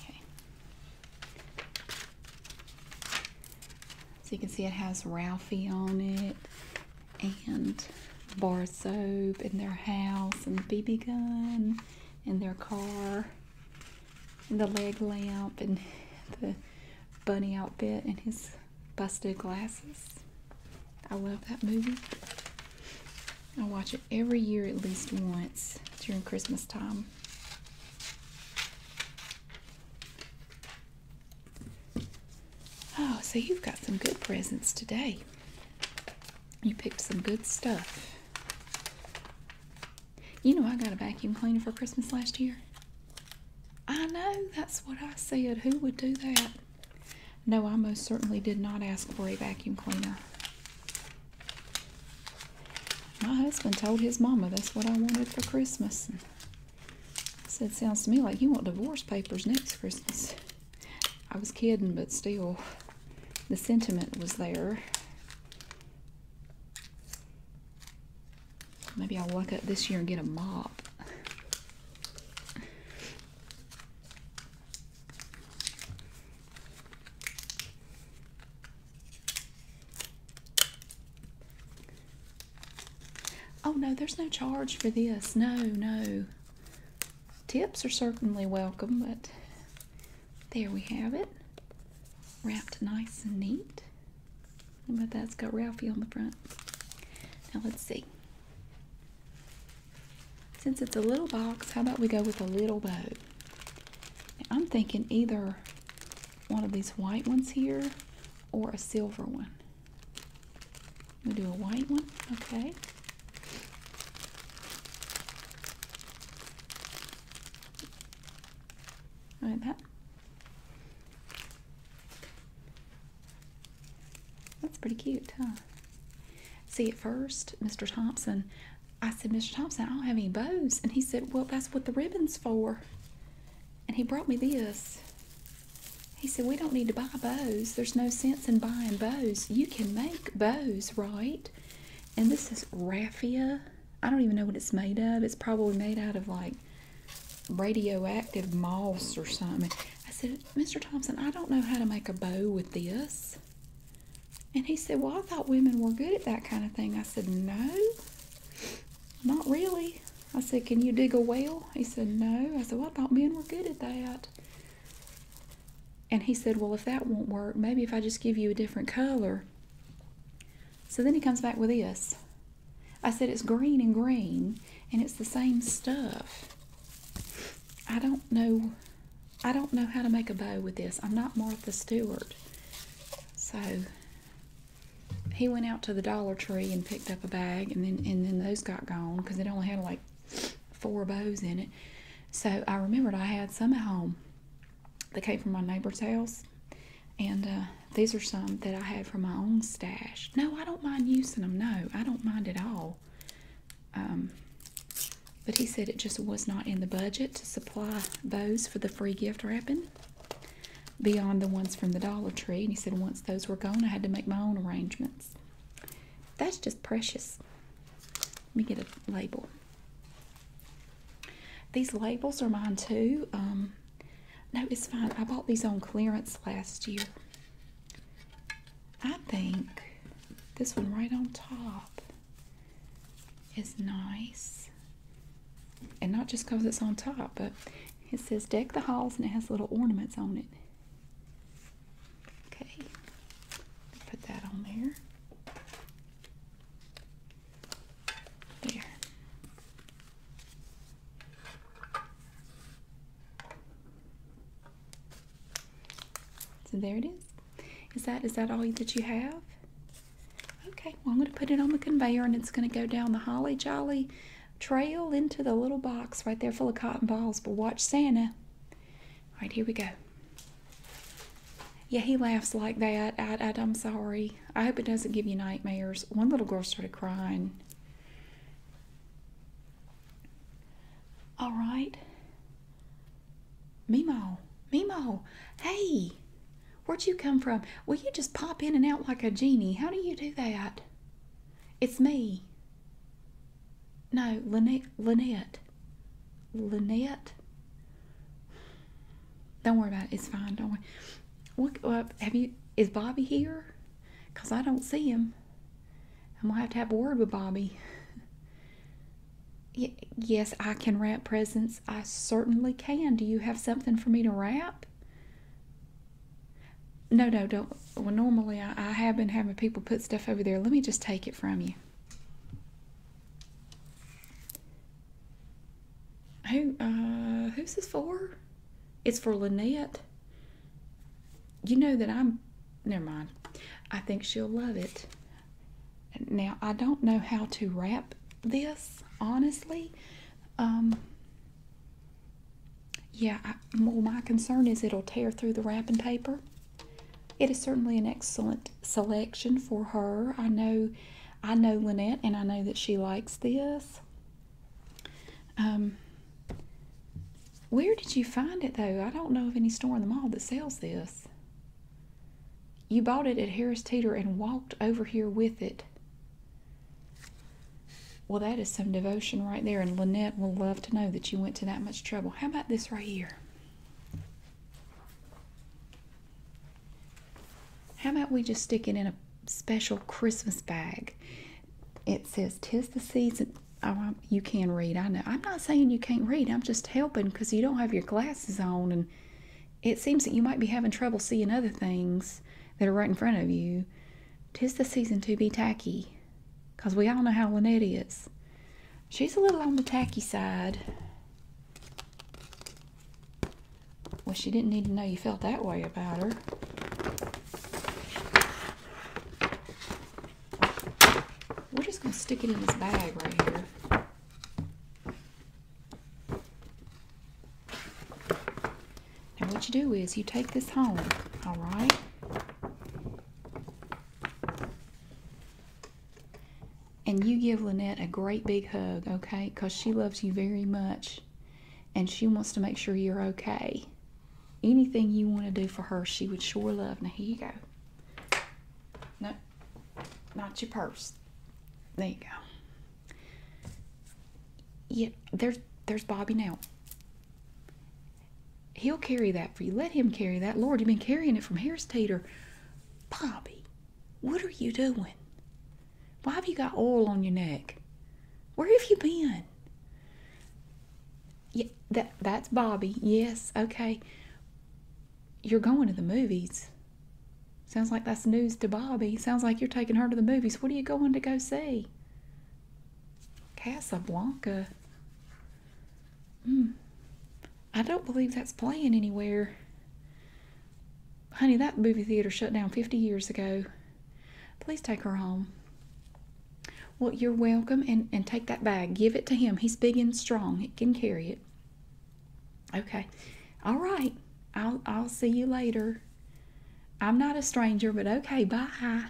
Okay. So you can see it has Ralphie on it and bar soap in their house and the BB gun in their car and the leg lamp and the bunny outfit and his busted glasses. I love that movie. I watch it every year at least once during Christmas time. Oh, so you've got some good presents today. You picked some good stuff. You know, I got a vacuum cleaner for Christmas last year. I know, that's what I said. Who would do that? No, I most certainly did not ask for a vacuum cleaner. My husband told his mama that's what I wanted for Christmas. And I said, Sounds to me like you want divorce papers next Christmas. I was kidding, but still, the sentiment was there. Maybe I'll luck up this year and get a mop. Oh no, there's no charge for this. No, no. Tips are certainly welcome, but there we have it. Wrapped nice and neat. My dad has got Ralphie on the front. Now let's see. Since it's a little box, how about we go with a little bow? I'm thinking either one of these white ones here or a silver one. We'll do a white one, okay. Like that. That's pretty cute, huh? See, at first, Mr. Thompson, I said, Mr. Thompson, I don't have any bows. And he said, Well, that's what the ribbon's for. And he brought me this. He said, We don't need to buy bows. There's no sense in buying bows. You can make bows, right? And this is raffia. I don't even know what it's made of. It's probably made out of like radioactive moss or something. I said, Mr. Thompson, I don't know how to make a bow with this. And he said, Well, I thought women were good at that kind of thing. I said, No, not really. I said, Can you dig a well? He said, No. I said, I thought men were good at that. And he said, Well, if that won't work, maybe if I just give you a different color. So then he comes back with this. I said, It's green and green, and it's the same stuff. I don't know. I don't know how to make a bow with this. I'm not Martha Stewart. So he went out to the Dollar Tree and picked up a bag, and then and then those got gone because it only had like four bows in it. So I remembered I had some at home that came from my neighbor's house. And uh, these are some that I had from my own stash. No, I don't mind using them. No, I don't mind at all. Um, but he said it just was not in the budget to supply bows for the free gift wrapping beyond the ones from the Dollar Tree. And he said once those were gone, I had to make my own arrangements. That's just precious. Let me get a label. These labels are mine too. Um, no, it's fine. I bought these on clearance last year. I think this one right on top is nice. And not just because it's on top, but it says deck the halls and it has little ornaments on it. Okay, put that on there. There. So there it is. Is that is that all that you have? Okay, well I'm going to put it on the conveyor and it's going to go down the holly jolly trail into the little box right there full of cotton balls. But watch Santa. All right, here we go. Yeah, he laughs like that. I, I, I'm sorry. I hope it doesn't give you nightmares. One little girl started crying. All right. Mimo, Mimo, hey, where'd you come from? Will you just pop in and out like a genie? How do you do that? It's me. No, Lynette. Lynette. Lynette. Don't worry about it. It's fine. Don't worry. What Have you? Is Bobby here? Cause I don't see him. I'm gonna have to have a word with Bobby. yes, I can wrap presents. I certainly can. Do you have something for me to wrap? No, no, don't. Well, normally I, have been having people put stuff over there. Let me just take it from you. Who, uh, who's this for? It's for Lynette. You know that I'm, never mind. I think she'll love it. Now, I don't know how to wrap this, honestly. Um, yeah, I, well, my concern is it'll tear through the wrapping paper. It is certainly an excellent selection for her. I know, I know Lynette, and I know that she likes this. Um, where did you find it though? I don't know of any store in the mall that sells this. You bought it at Harris Teeter and walked over here with it. Well, that is some devotion right there, and Lynette will love to know that you went to that much trouble. How about this right here? How about we just stick it in a special Christmas bag? It says, Tis the season. Oh, you can read. I know. I'm not saying you can't read. I'm just helping because you don't have your glasses on. And it seems that you might be having trouble seeing other things that are right in front of you. Tis the season to be tacky. Because we all know how Lynette is. She's a little on the tacky side. Well, she didn't need to know you felt that way about her. We're just going to stick it in this bag right here. Now what you do is you take this home, all right? And you give Lynette a great big hug, okay? Because she loves you very much and she wants to make sure you're okay. Anything you want to do for her, she would sure love. Now, here you go. No, not your purse. There you go. Yeah, there's, there's Bobby now. He'll carry that for you. Let him carry that. Lord, you've been carrying it from Harris Tater. Bobby, what are you doing? Why have you got oil on your neck? Where have you been? Yeah, that that's Bobby. Yes, okay. You're going to the movies. Sounds like that's news to Bobby. Sounds like you're taking her to the movies. What are you going to go see? Casablanca. Mm, I don't believe that's playing anywhere. Honey, that movie theater shut down 50 years ago. Please take her home. Well, you're welcome, and, and take that bag. Give it to him. He's big and strong. It can carry it. Okay. All right. I'll, I'll see you later. I'm not a stranger, but okay, bye.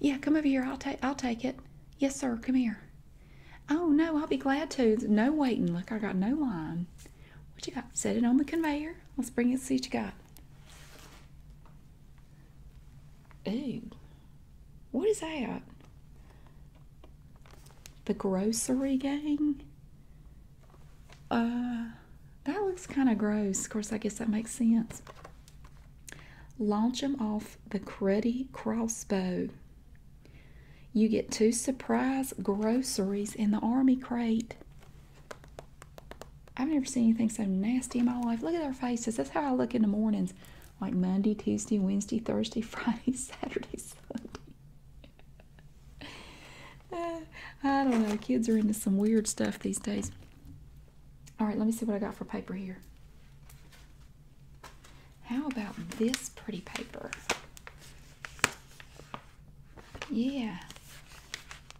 Yeah, come over here. I'll take I'll take it. Yes, sir. Come here. Oh no, I'll be glad to. No waiting. Look, I got no line. What you got? Set it on the conveyor. Let's bring it. See what you got. Ooh, what is that? The grocery gang. Uh, that looks kind of gross. Of course, I guess that makes sense. Launch them off the cruddy crossbow. You get two surprise groceries in the army crate. I've never seen anything so nasty in my life. Look at their faces. That's how I look in the mornings. Like Monday, Tuesday, Wednesday, Thursday, Friday, Saturday, Sunday. I don't know. Kids are into some weird stuff these days. All right, let me see what I got for paper here. How about this pretty paper? Yeah.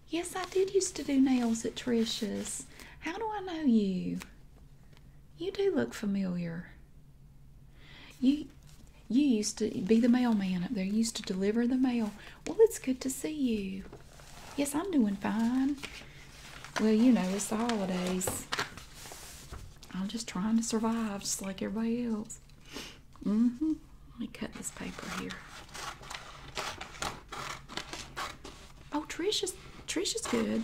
Yes, I did used to do nails at Trisha's. How do I know you? You do look familiar. You you used to be the mailman up there. You used to deliver the mail well, it's good to see you. Yes, I'm doing fine. Well, you know, it's the holidays. I'm just trying to survive, just like everybody else. Mm hmm. Let me cut this paper here. Oh, Trisha's Trisha's good.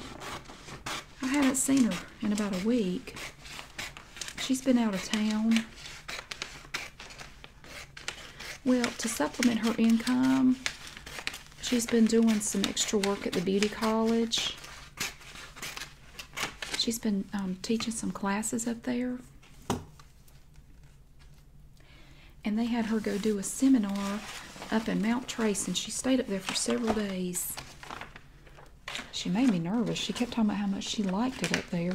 I haven't seen her in about a week. She's been out of town. Well, to supplement her income, she's been doing some extra work at the beauty college. She's been um, teaching some classes up there. And they had her go do a seminar up in Mount Trace, and she stayed up there for several days. She made me nervous. She kept talking about how much she liked it up there.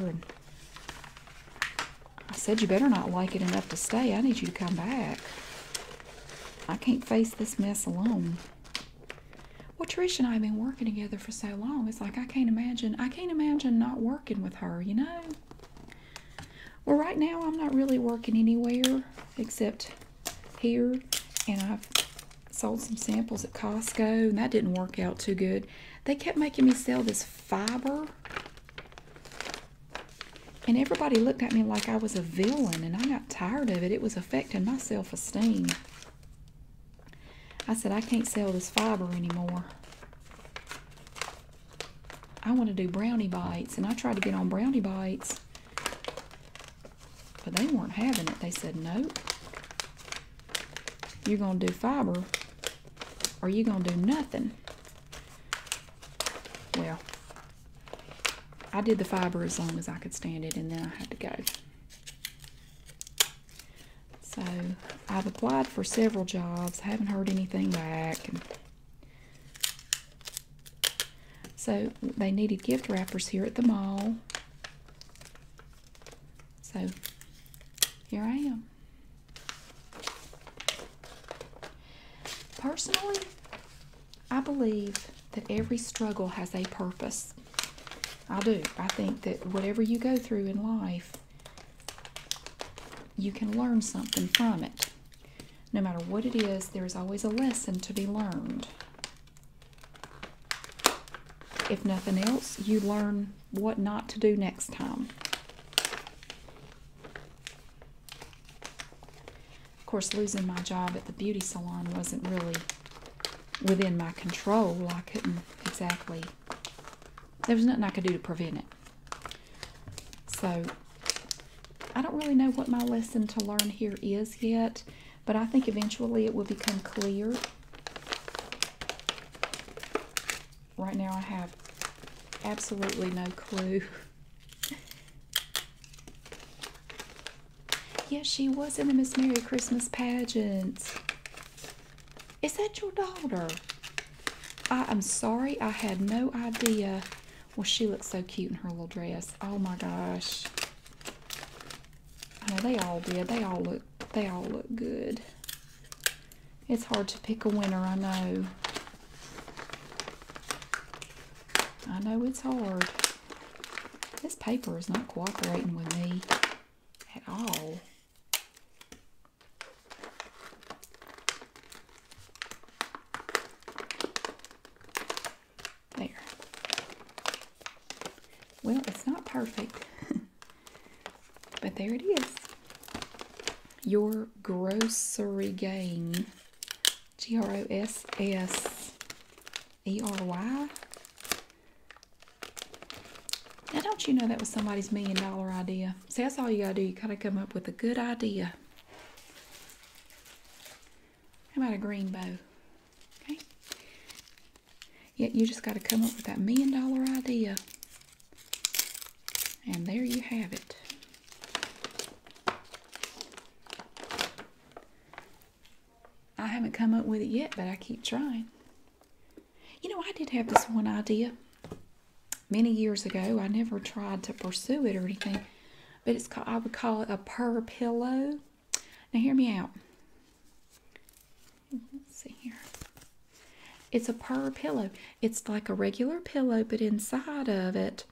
I said you better not like it enough to stay. I need you to come back. I can't face this mess alone. Well, Trish and I have been working together for so long. It's like I can't imagine. I can't imagine not working with her, you know? Well, right now I'm not really working anywhere except here. And I've sold some samples at Costco. And that didn't work out too good. They kept making me sell this fiber and everybody looked at me like I was a villain, and I got tired of it. It was affecting my self esteem. I said, I can't sell this fiber anymore. I want to do brownie bites, and I tried to get on brownie bites, but they weren't having it. They said, Nope, you're going to do fiber, are you gonna do nothing. Well, I did the fiber as long as I could stand it, and then I had to go. So I've applied for several jobs, haven't heard anything back. So they needed gift wrappers here at the mall. So here I am. Personally, I believe that every struggle has a purpose. I do. I think that whatever you go through in life, you can learn something from it. No matter what it is, there is always a lesson to be learned. If nothing else, you learn what not to do next time. Of course, losing my job at the beauty salon wasn't really within my control. I couldn't exactly, there was nothing I could do to prevent it. So, I don't really know what my lesson to learn here is yet, but I think eventually it will become clear right now I have absolutely no clue. yes, she was in the Miss Merry Christmas pageant. Is that your daughter? I am sorry, I had no idea. Well, she looks so cute in her little dress. Oh my gosh. I know they all did. They all look they all look good. It's hard to pick a winner, I know. I know it's hard. This paper is not cooperating with me at all. There. Well, it's not perfect. But there it is. Your grocery game, G R O S S E R Y. Now, don't you know that was somebody's million dollar idea? See, that's all you gotta do. You gotta come up with a good idea. How about a green bow? Okay. Yet yeah, you just gotta come up with that million dollar idea. And there you have it. I haven't come up with it yet, but I keep trying. You know, I did have this one idea many years ago. I never tried to pursue it or anything, but it's called, I would call it a purr pillow. Now, hear me out. see here. It's a purr pillow. It's like a regular pillow, but inside of it,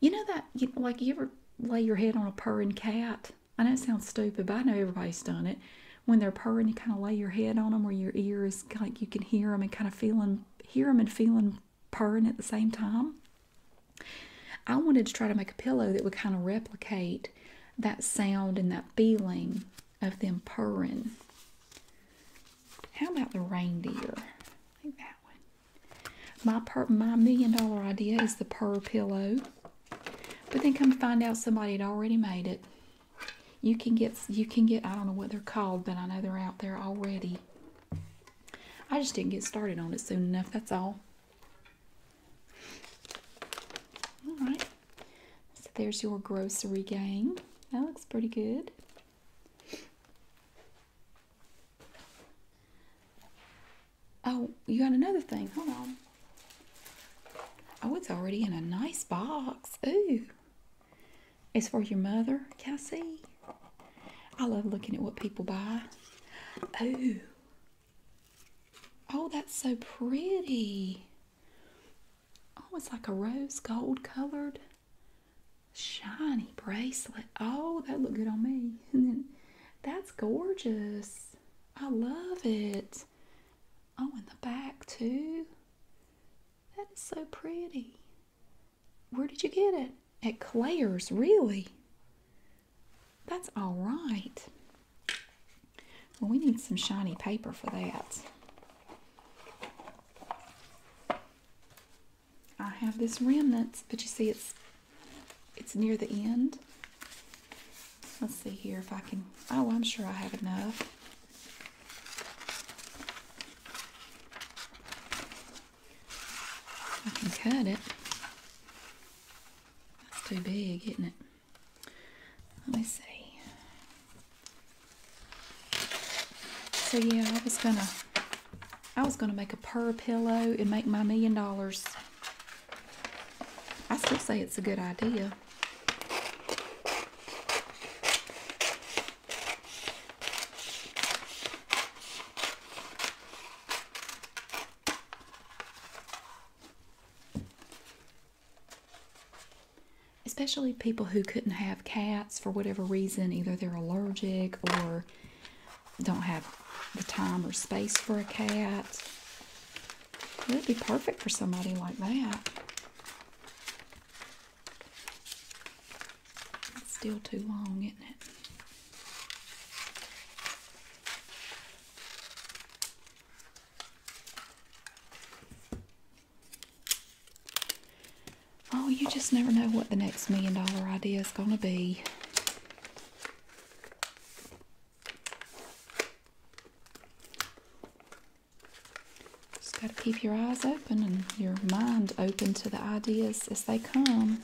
you know that you, like you ever lay your head on a purring cat. I know it sounds stupid, but I know everybody's done it. When they're purring, you kind of lay your head on them, or your ears like you can hear them and kind of feeling hear them and feeling purring at the same time. I wanted to try to make a pillow that would kind of replicate that sound and that feeling of them purring. How about the reindeer? I think that one. My per my million dollar idea is the per pillow. But then come find out somebody had already made it. You can get you can get I don't know what they're called, but I know they're out there already. I just didn't get started on it soon enough, that's all. Alright. So there's your grocery game. That looks pretty good. Oh, you got another thing. Hold on. Oh, it's already in a nice box. Ooh. It's for your mother, Cassie. I love looking at what people buy. Oh. Oh, that's so pretty. Oh, it's like a rose gold colored shiny bracelet. Oh, that looked good on me. that's gorgeous. I love it. Oh, in the back too. That is so pretty. Where did you get it? At Claire's, really? That's all right. Well, we need some shiny paper for that. I have this remnants, but you see it's it's near the end. Let's see here if I can. Oh, I'm sure I have enough. I can cut it. That's too big, isn't it? Let me see. So yeah, I was gonna I was gonna make a per pillow and make my million dollars. I still say it's a good idea especially people who couldn't have cats for whatever reason either they're allergic or don't have the time or space for a cat it would be perfect for somebody like that still too long isn't it Oh, you just never know what the next million dollar idea is going to be. Just got to keep your eyes open and your mind open to the ideas as they come.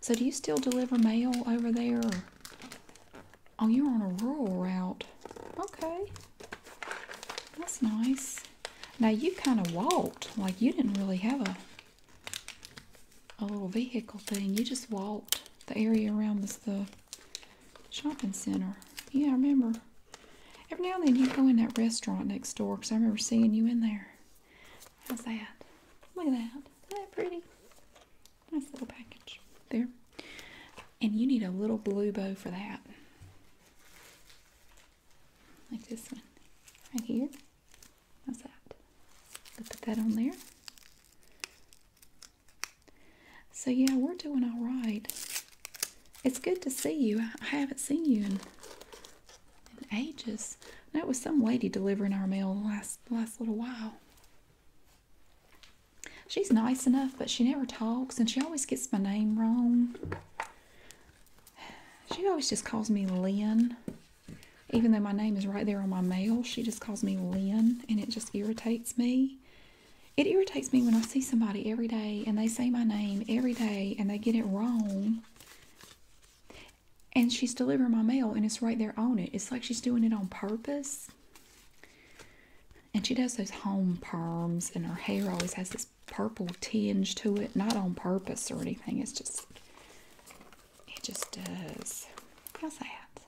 So, do you still deliver mail over there? Oh, you're on a rural route. Okay. That's nice. Now you kind of walked. Like you didn't really have a a little vehicle thing. You just walked the area around was the shopping center. Yeah, remember. Every now and then you go in that restaurant next door because I remember seeing you in there. How's that? Look at that. Isn't that pretty? Nice little package there. And you need a little blue bow for that. Like this one right here. How's that? put that on there. So yeah, we're doing all right. It's good to see you. I haven't seen you in, in ages. That was some lady delivering our mail last last little while. She's nice enough, but she never talks and she always gets my name wrong. She always just calls me Lynn. Even though my name is right there on my mail, she just calls me Lynn and it just irritates me. It irritates me when I see somebody every day and they say my name every day and they get it wrong. And she's delivering my mail and it's right there on it. It's like she's doing it on purpose and she does those home perms and her hair always has this purple tinge to it not on purpose or anything it's just it just does how's that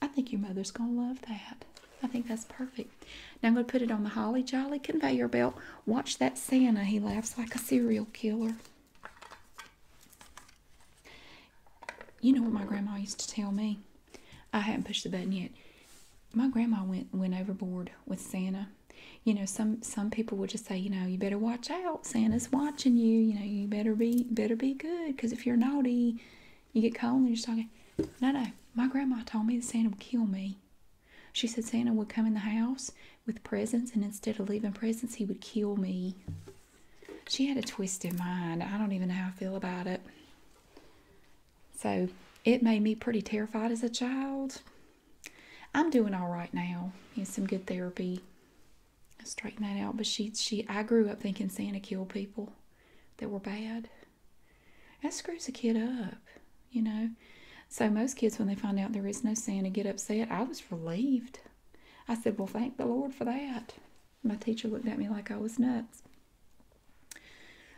i think your mother's gonna love that i think that's perfect now i'm gonna put it on the holly jolly conveyor belt watch that santa he laughs like a serial killer you know what my grandma used to tell me I had not pushed the button yet. My grandma went went overboard with Santa. You know, some some people would just say, you know, you better watch out. Santa's watching you. You know, you better be better be good because if you're naughty, you get cold and you're just talking. No, no. My grandma told me that Santa would kill me. She said Santa would come in the house with presents, and instead of leaving presents, he would kill me. She had a twisted mind. I don't even know how I feel about it. So it made me pretty terrified as a child. I'm doing all right now. Need some good therapy. I straighten that out. But she, she, I grew up thinking Santa killed people that were bad. That screws a kid up, you know. So most kids, when they find out there is no Santa, get upset. I was relieved. I said, "Well, thank the Lord for that." My teacher looked at me like I was nuts.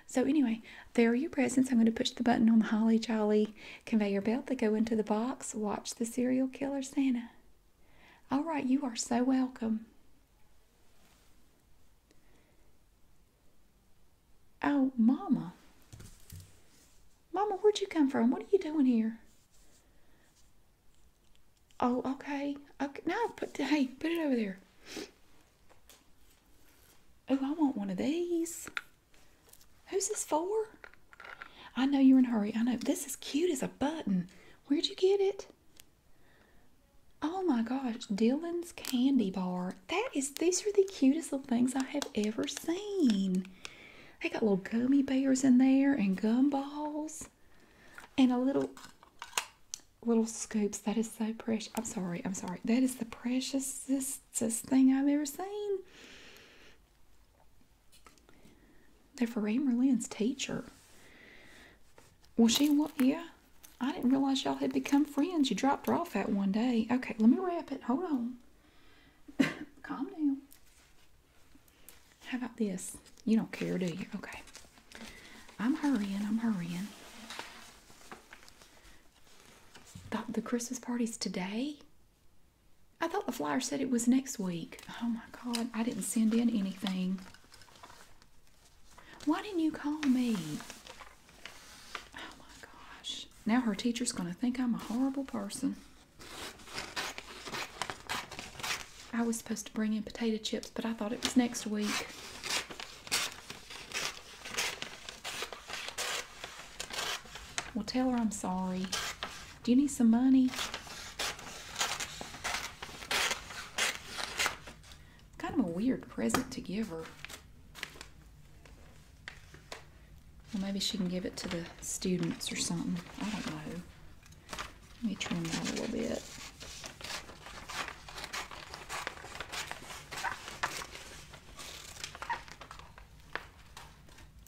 So anyway, there are your presents. I'm going to push the button on the Holly Jolly conveyor belt. They go into the box. Watch the serial killer Santa. All right, you are so welcome. Oh, Mama. Mama, where'd you come from? What are you doing here? Oh, okay. Okay, no, hey, put it over there. Oh, I want one of these. Who's this for? I know you're in a hurry. I know. This is cute as a button. Where'd you get it? Oh my gosh, Dylan's candy bar. That is, these are the cutest little things I have ever seen. They got little gummy bears in there and gumballs and a little little scoops. That is so precious. I'm sorry. I'm sorry. That is the preciousest thing I've ever seen. They're for Amber Lynn's teacher. Well, she was, yeah. I didn't realize y'all had become friends. You dropped her off at one day. Okay, let me wrap it. Hold on. Calm down. How about this? You don't care, do you? Okay. I'm hurrying, I'm hurrying. Thought the Christmas party's today? I thought the flyer said it was next week. Oh my god, I didn't send in anything. Why didn't you call me? Oh my gosh. Now her teacher's going to think I'm a horrible person. I was supposed to bring in potato chips, but I thought it was next week. Well, tell her I'm sorry. Do you need some money? Kind of a weird present to give her. Well, maybe she can give it to the students or something. I don't know. Let me trim that a little bit.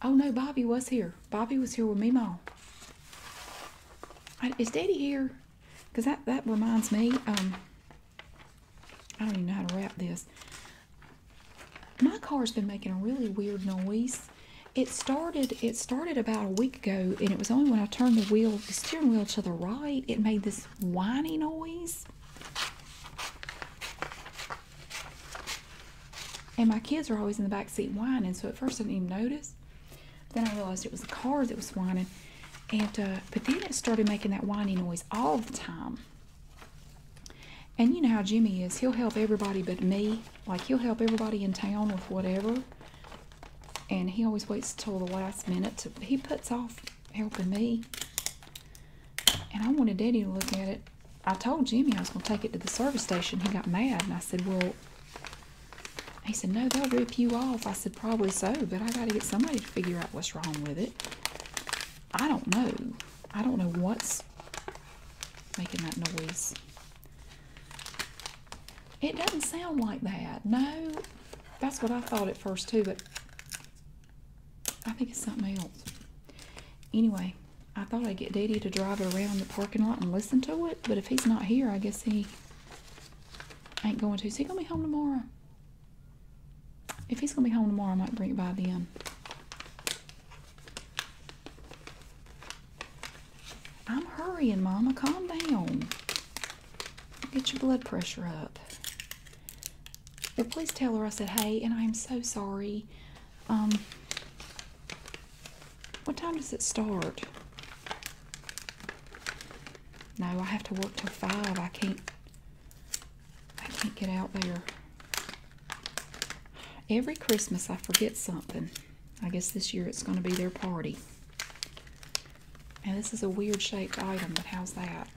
Oh no, Bobby was here. Bobby was here with me, Mom. Is Daddy here? Because that, that reminds me, um, I don't even know how to wrap this. My car's been making a really weird noise. It started, it started about a week ago, and it was only when I turned the wheel, the steering wheel to the right, it made this this whiny noise. And my kids are always in the back seat whining, so at first I didn't even notice. then I realized it was the car that was whining, and uh, but then it started making that whiny noise all the time. And you know how Jimmy is; he'll help everybody but me. Like he'll help everybody in town with whatever, and he always waits till the last minute. To, he puts off helping me. And I wanted Daddy to look at it. I told Jimmy I was going to take it to the service station. He got mad, and I said, Well, he said, No, they'll rip you off. I said, Probably so, but I got to get somebody to figure out what's wrong with it. I don't know. I don't know what's making that noise. It doesn't sound like that. No, that's what I thought at first too, but I think it's something else. Anyway, I thought I'd get Daddy to drive it around the parking lot and listen to it, but if he's not here, I guess he ain't going to. Is he gonna be home tomorrow? If he's gonna be home tomorrow, I might bring it by then. I'm hurrying, Mama. Calm down. Get your blood pressure up. But please tell her I said, hey, and I am so sorry. Um, what time does it start? No, I have to work till five. I can't. I can't get out there. Every Christmas I forget something. I guess this year it's going to be their party. Now this is a weird shaped item, but how's that?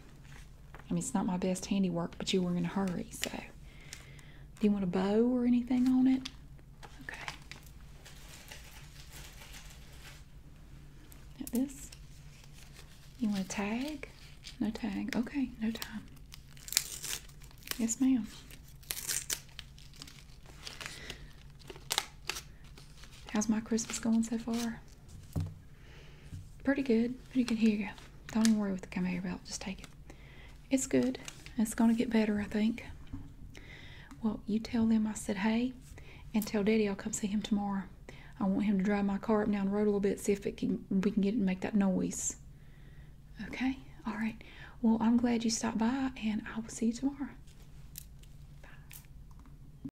I mean, it's not my best handiwork, but you were in a hurry, so. Do you want a bow or anything on it? Okay. Now this. You want a tag? No tag. Okay, no time. Yes, ma'am. How's my Christmas going so far? Pretty good. Pretty good. Here you go. Don't even worry with the conveyor belt. Just take it. It's good. It's going to get better, I think. Well, you tell them I said, hey, and tell Daddy I'll come see him tomorrow. I want him to drive my car up down the road a little bit, see if we can get it make that noise. Okay? All right. Well, I'm glad you stopped by, and I will see you tomorrow.